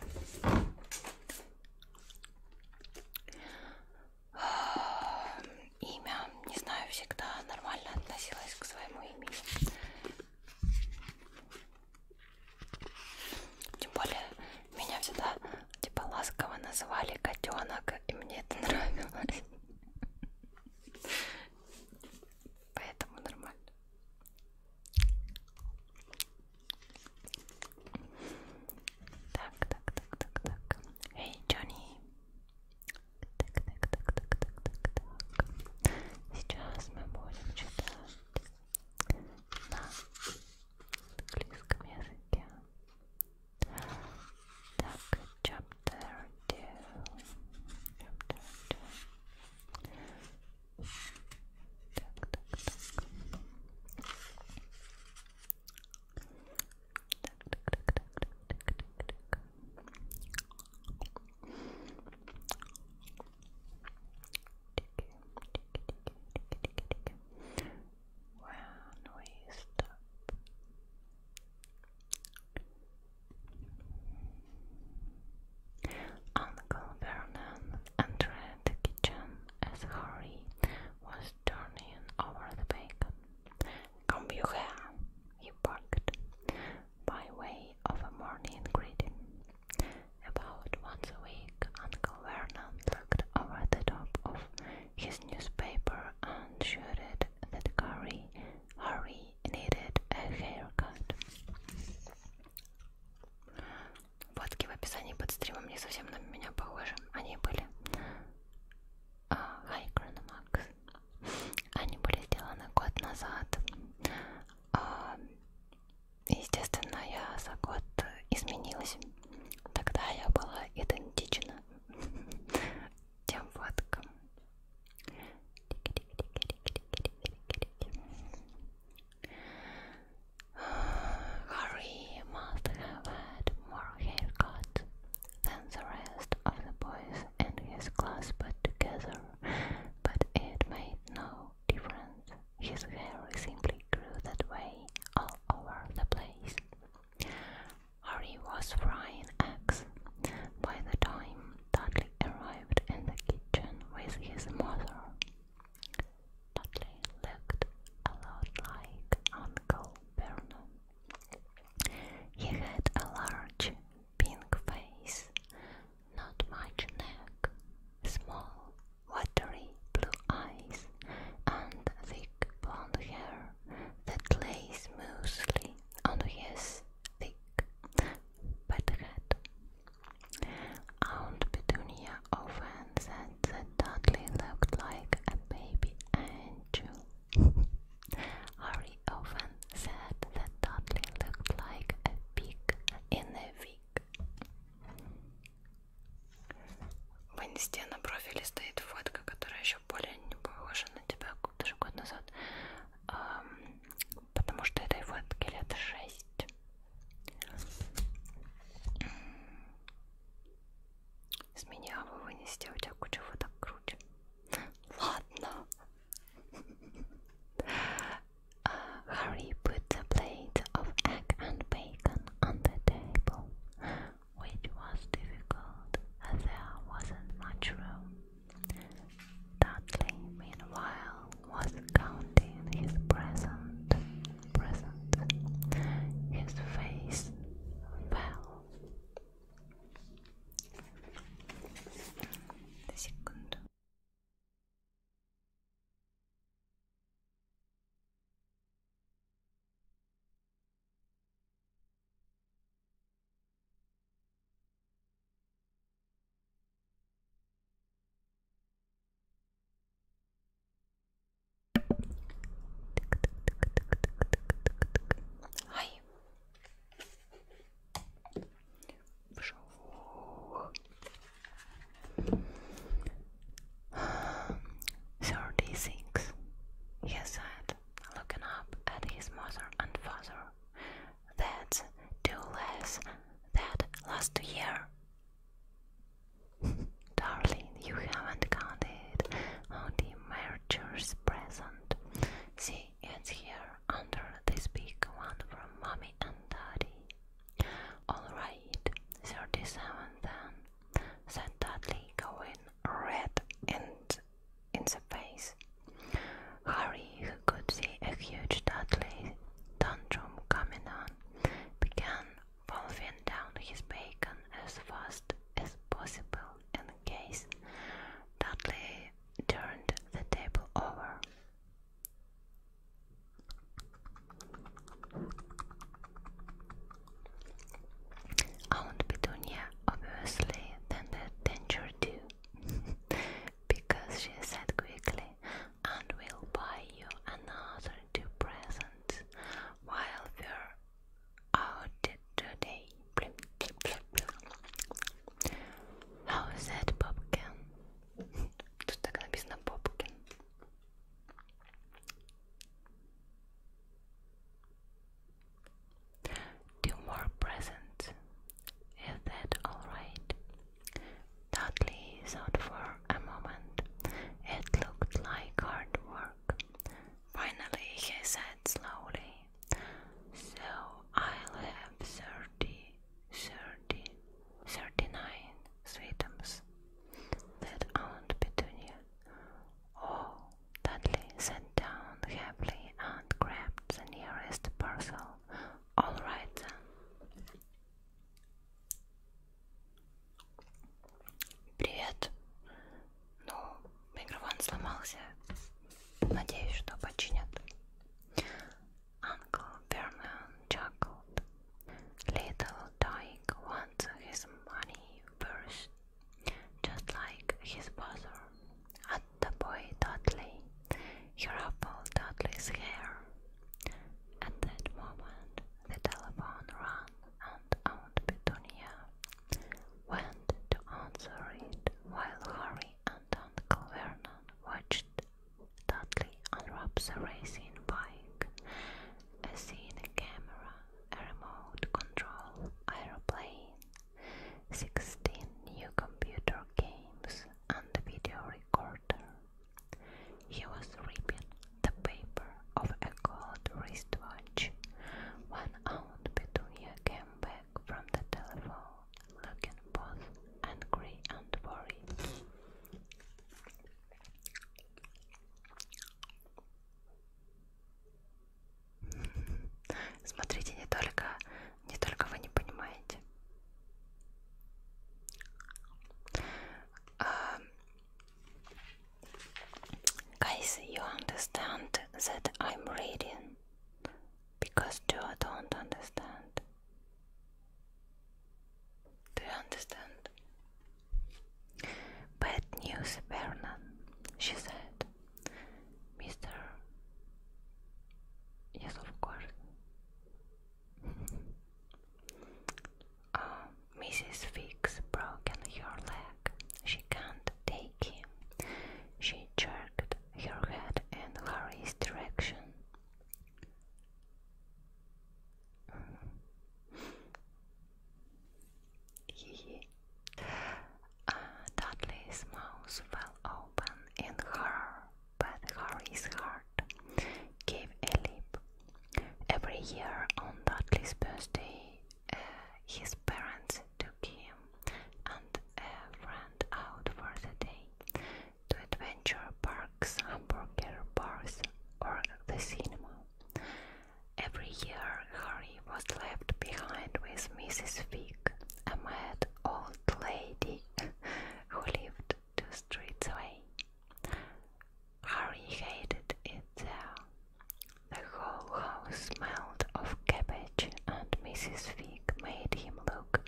имя, не знаю, всегда нормально относилась к своему имени. Тем более, меня всегда типа ласково называли котенок, и мне это нравилось. Поэтому нормально. Так, так, так, так, так. Эй, Джонни. Так, так, так, так, так, так, так. Сейчас мы будем читать на английском языке. Так, chapter 2. Chapter 2. Так, так, так. When we stop. On Vernon entered the kitchen as Harry was turning over the bacon. "Come here!" he barked, by way of a morning greeting. About once a week, Uncle Vernon looked over the top of his newspaper and shouted that Harry, Harry needed a haircut. водки в описании под стримом не совсем на меня похожи. Они были... Uh, hi, Chronomax. Они были сделаны год назад. Uh, естественно, я за год изменилась. Тогда я была идентична тем водкам. Harry must have had more haircuts than the rest of the boys in his class put together, but it made no difference. His hair simply grew that way all over the place. Harry was frying eggs by the time Dudley arrived in the kitchen with his mother. Dudley looked a lot like Uncle Vernon. He had a large pink face, not much neck, small watery blue eyes, and thick blond hair that lay smoothly on his thick, wet head. Aunt Petunia often said that Dudley looked like a baby angel. Harry often said that Dudley looked like a pig in a wig. В инсте на профиле стоит фотка, которая еще более не похожа на тебя даже год назад, эм, потому что этой фотке лет шесть. С меня вы вынесете, у тебя куча фоток круче. put a plate of egg and bacon on the table, which was difficult as there wasn't much room. Dudley, meanwhile, was counting his present present. His face fell. The second. Thirty six, he said, looking up at his mother and father. That's two less than last year. Darling, you haven't counted all the mergers present. See, it's here under this big one from Mommy and Daddy. Alright, 37 then, said Dudley, going red and in the face. Harry, who could see a huge Dudley tantrum coming on, began wolfing down his bacon as fast as possible in case Dudley turned the table over. Aunt Petunia obviously tended danger too, because she said quickly, "And will buy you another two presents while we're out today. How is that, Popkin? Тут так написано Popkin. Two more presents. Is that alright? Dudley thought for a moment. It looked like hard work. Finally, he said slowly, So I'll have thirty, thirty, thirty-nine sweetums. That Aunt Petunia. Oh, Dudley sat down happily and grabbed the nearest parcel. All right Привет. Ну, микрофон сломался. Надеюсь, что починят. Uncle Berman chuckled. Little Dyke wants his money first, just like his brother. At the boy Dudley, he ruffled Dudley's hair. At that moment, the telephone rang and Aunt Petunia went to answer it, while Harry and Uncle Vernon watched Dudley unwrap the racing bike, a scene camera, a remote control aeroplane, 16 new computer games, and a video recorder. He was ripping the paper of a gold wristwatch. When Aunt Petunia came back from the telephone, looking both angry and worried. Смотрите, не только, не только вы не понимаете. Guys, you understand that I'm reading because you don't understand. Do you understand? Bad news, Bernard," she said. Mister. Yes, of course. Mrs. Um, Fix broken her leg. She can't take him. She jerked her head in Harry's direction. Uh, Dudley's mouth fell open in horror, but Harry's heart gave a leap Every year on Dudley's birthday, uh, his parents took him and a friend out for the day to adventure parks, hamburger bars, or the cinema. Every year, Harry was left behind with Mrs. Fig, a mad old lady who lived two streets away. Harry hated it there. The whole house smelled of cabbage, and Mrs. Fig made him look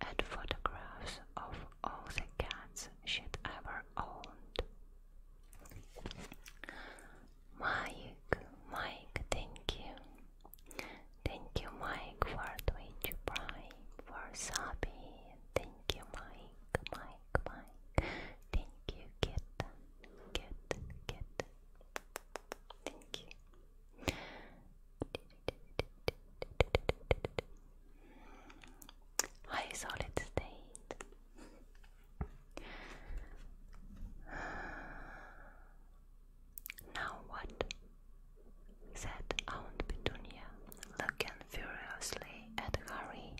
at photographs of all the cats she'd ever owned. Mike, Mike, thank you. Thank you, Mike, for Twitch Prime, for Sabi. Thank you, Mike, Mike goodbye. Thank you, kid. Kid, kid. Thank you. Hi, solid state. Now what? said Aunt Petunia, looking furiously Harry at Harry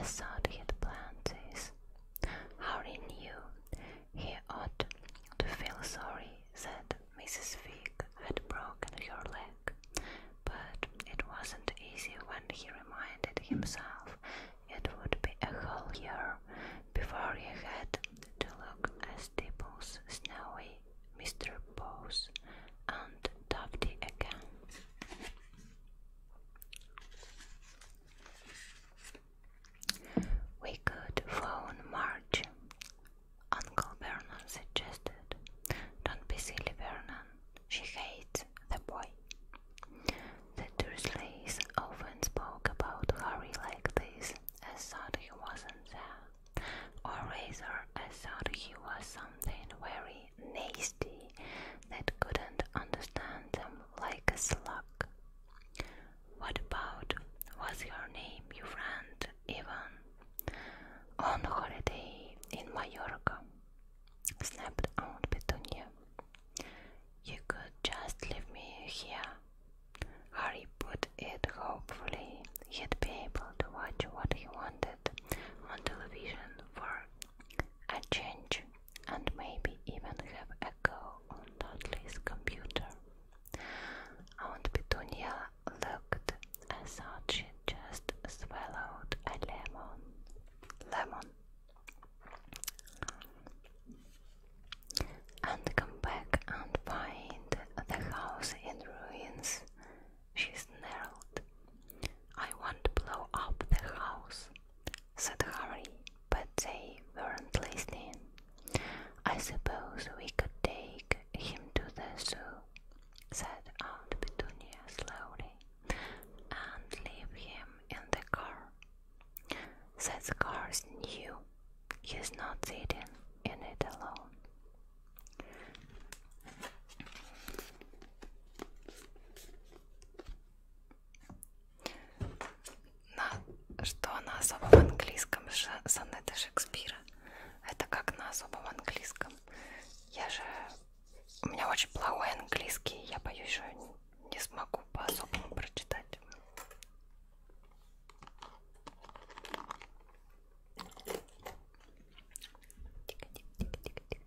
as thought he'd planned this. Harry knew he ought to feel sorry that Mrs. Fig had broken her leg, but it wasn't easy when he reminded himself it would be a whole year before he had to look at Stipple's snowy Mr. Pose and Tufty again. We could phone Marge, Uncle Vernon suggested. Don't be silly, Vernon. She hates the boy. The Dursleys often spoke about Harry like this, as thought he wasn't there, or rather, as thought he was something very nasty that couldn't understand them like a slug. What about what's your name, you friend, Evan? On holiday in Mallorca, snapped Aunt Petunia. You could just leave me here. Harry put it hopefully he'd be able to watch what he wanted on television for a change, and maybe even have a go on Dudley's computer. Aunt Petunia looked I thought she just swallowed a lemon. Lemon. And come back and find the house in ruins, she snarled. I want to blow up the house said Harry, but they weren't listening. I suppose we could take him to the zoo, said Aunt Petunia slowly, and leave him in the car. That's car's new. He's not sitting in it alone. на, что на особом английском сонеты Шекспира. Это как на особом английском. Я же... У меня очень плохой английский, я боюсь, что не смогу по-особому прочитать. Тихо, тихо, тихо, тихо,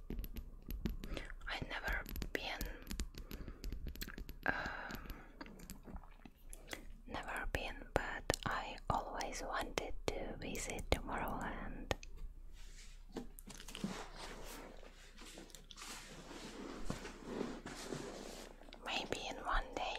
i never been um, never been but I always wanted to visit Tomorrowland maybe in one day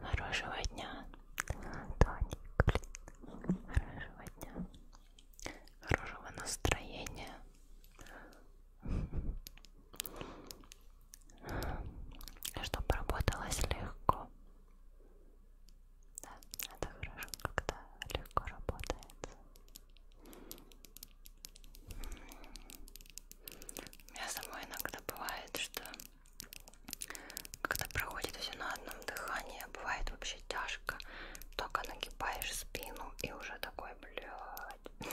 Хорошего дня, Тоник. Хорошего дня. Хорошего настроения. Чтобы работалось легко. Да, это хорошо, когда легко работает. У меня самой иногда бывает, что когда проходит все на одном дыхании, бывает вообще тяжко. Только нагибаешь спину и уже такой, блядь.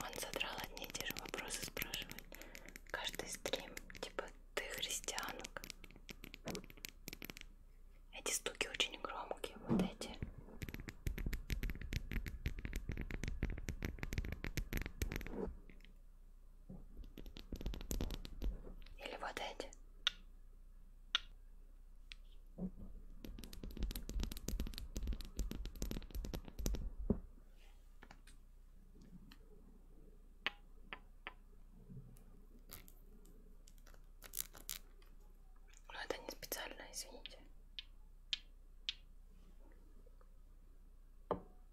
Он задрал одни и те же вопросы, спрашивает. Каждый стрим, типа, ты христианок? Эти стуки очень громкие, вот эти. Или вот эти. Но ну, это не специально, извините.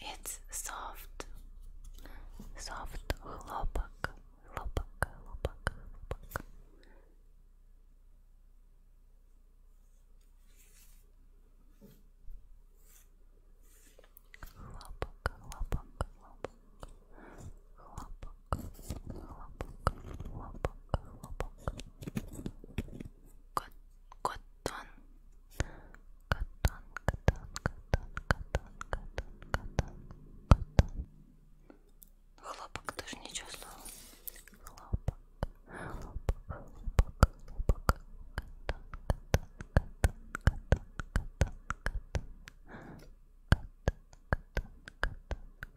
It's soft, soft хлопок, хлопок, хлопок, хлопок. Хлопок, хлопок, хлопок, хлопок, хлопок, хлопок, хлопок. Кот, котон, котон, котон, котон, котон, котон, котон, котон. Хлопок, даже ничего слова. Хлопок, хлопок, хлопок, хлопок. Котон, котон, котон, котон, котон, котон, котон. Катон, катон,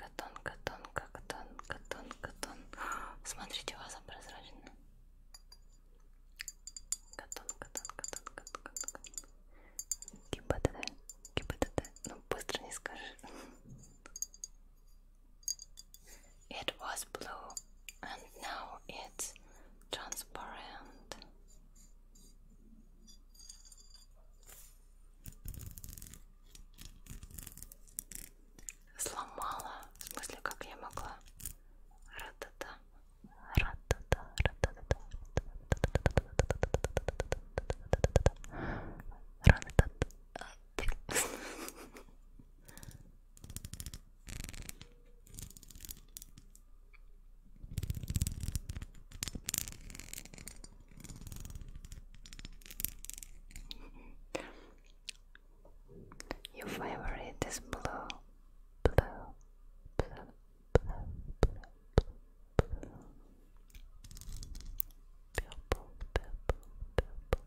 катон, катон, катон, катон, катон. Смотрите, ваза прозрачная. Катон, катон, катон, катон, катон. Гипотеда, гипотеда. Ну быстро не скажешь. it was blue and now it's transparent. Сломала. В смысле, как я могла? Ратата. Ратата. Ратата. Ратата. Your favorite is blue, blue, blue, blue, blue, blue, blue. Purple, purple, purple,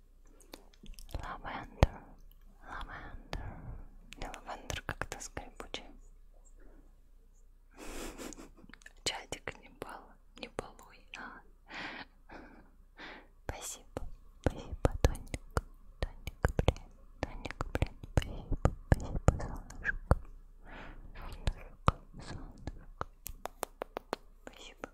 Lavender, lavender. Lavender как-то скрипучий. Чатик не пал, не балуй. А. Спасибо, спасибо, Тоник. Тоник, блин, Тоник, блин, спасибо, спасибо, солнышко. Солнышко, солнышко. Спасибо.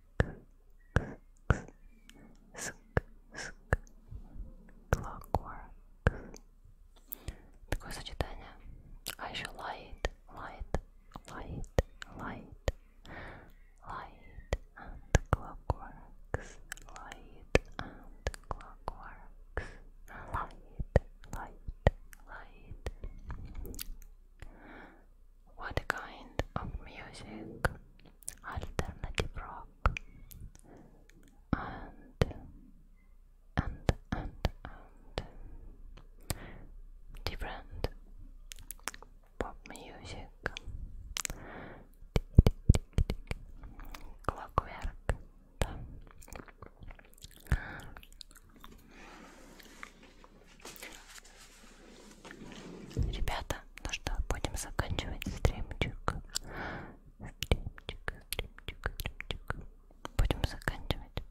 Clockwork. Такое сочетание. А еще light, light, light, light, light and clockworks, light and clockworks, light, light, light. What kind of music alternative rock and and and and different pop music clockwork Ребята, ну что, будем заканчивать стримчик. Стримчик, стримчик, стримчик. Будем заканчивать.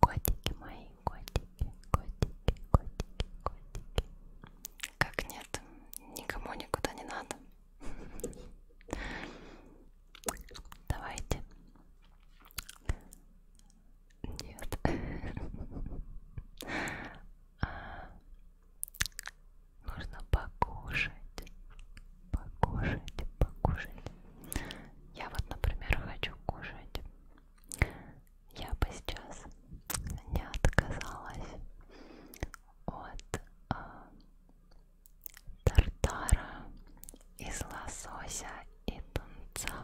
Котики мои, котики, котики, котики, котики. Как нет, никому никуда не надо. Давайте нет. а, нужно покушать. Покушать, покушать. Я вот, например, хочу кушать. Я бы сейчас не отказалась от а, тартара из лосося и тунца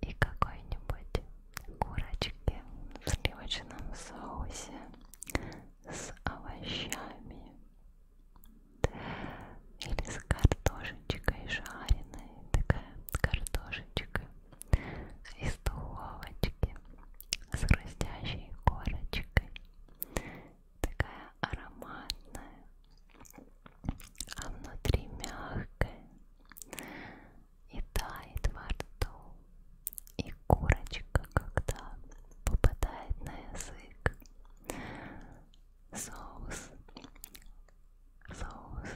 и какой-нибудь курочки в сливочном соусе с овощами или с картошечкой жареной такая картошечка из духовочки с хрустящей корочкой такая ароматная, а внутри мягкая и тает во рту. И курочка, когда попадает на язык, соус, соус,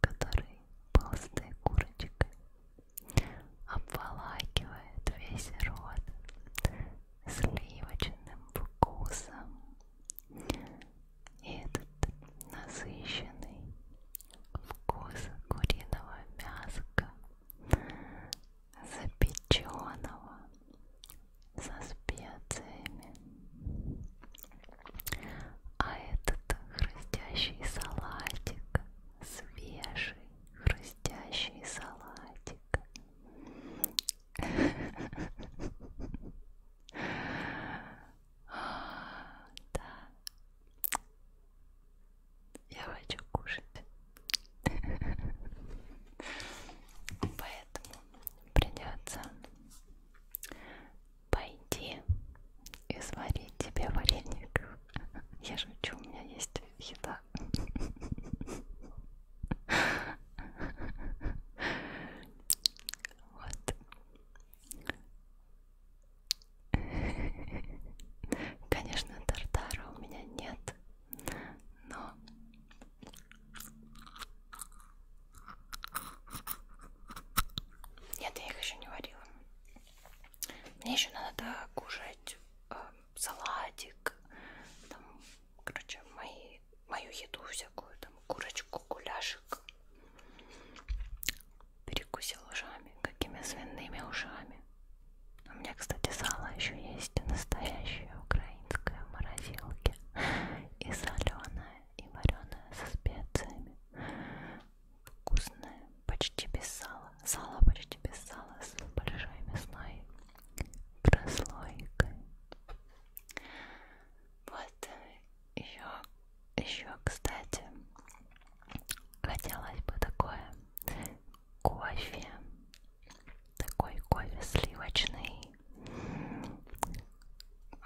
который толстой курочкой обволакивает весь рот сливочным вкусом и этот насыщенный вкус куриного мяска, запеченного со специями. А этот хрустящий салатик, свежий хрустящий салатик да. Я хочу кушать. Поэтому придется пойти и сварить тебе вареник. Я шучу, у меня есть еда. Вот. Конечно, тартара у меня нет, но нет, я их еще не варила. Мне еще надо кушать э, салатик, там короче, мои, мою еду всякую, там, курочку, гуляшек перекусил ушами, какими свиными ушами. У меня, кстати, сало еще есть настоящее украинское в морозилке. И соленое, и вареное со специями. Вкусное, почти без сала. Сало почти без сала с большой мясной прослойкой. Вот еще, э, еще, кстати, хотелось бы такое кофе, такой кофе сливочный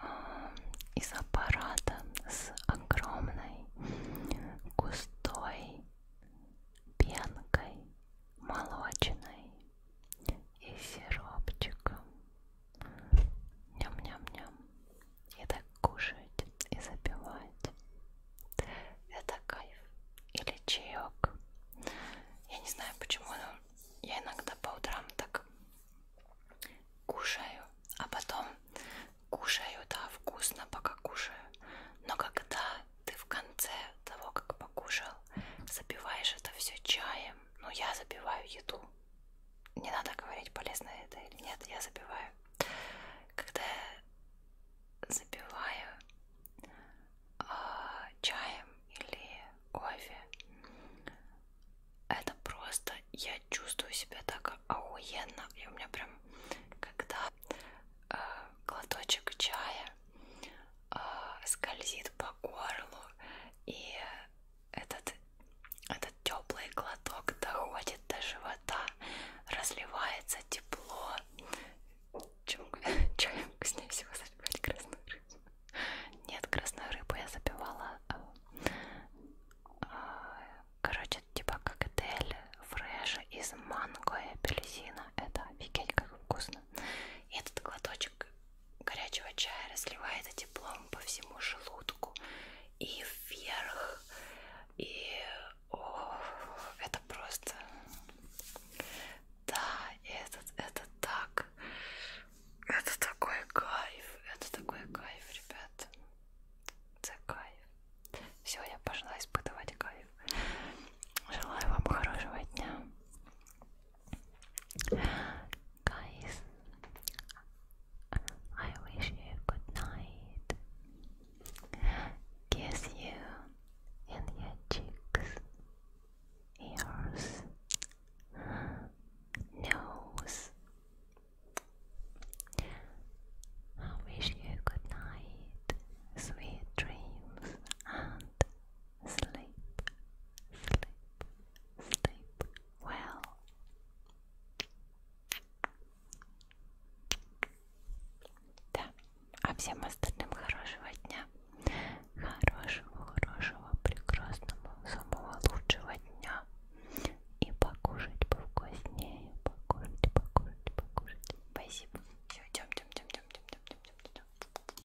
а, из аппарата с огромной густой пенкой молочной и сиропчиком. Ням-ням-ням. И так кушать и запивать. Это кайф. Или чаек. Я не знаю почему, но я иногда по утрам так кушаю, а потом кушаю, да, вкусно, пока кушаю. Но когда ты в конце того, как покушал, запиваешь это все чаем, ну, я забиваю еду. Не надо говорить, полезно это или нет, я забиваю. Когда я забиваю э, чаем или кофе, это просто, я чувствую себя так охуенно. И у меня прям, когда э, глоточек чая а, скользит по горлу, и этот, этот теплый глоток доходит до живота, разливается тепло. Чем, чаем вкуснее всего запивать красную рыбу? Нет, красную рыбу я запивала, а, а, короче, типа коктейль фреш из манго и апельсина. Это офигеть как вкусно. И этот глоточек горячего чая разливает теплом по всему желудку и вверх. И о, это просто... Да, это, это так... Это такой кайф, это такой кайф, ребят. Это кайф. Все, я пошла испытывать кайф. Желаю вам хорошего дня. Guys, I wish you good night. Kiss you in your cheeks, ears, nose. I wish you good night, sweet dreams, and sleep, sleep, sleep well. Да, а всем остальным хорошего дня, хорошего, хорошего, прекрасного, самого лучшего дня. И покушать повкуснее, покушать, покушать, покушать. Спасибо. Все, идем, идем, идем, идем, идем, идем, идем, идем.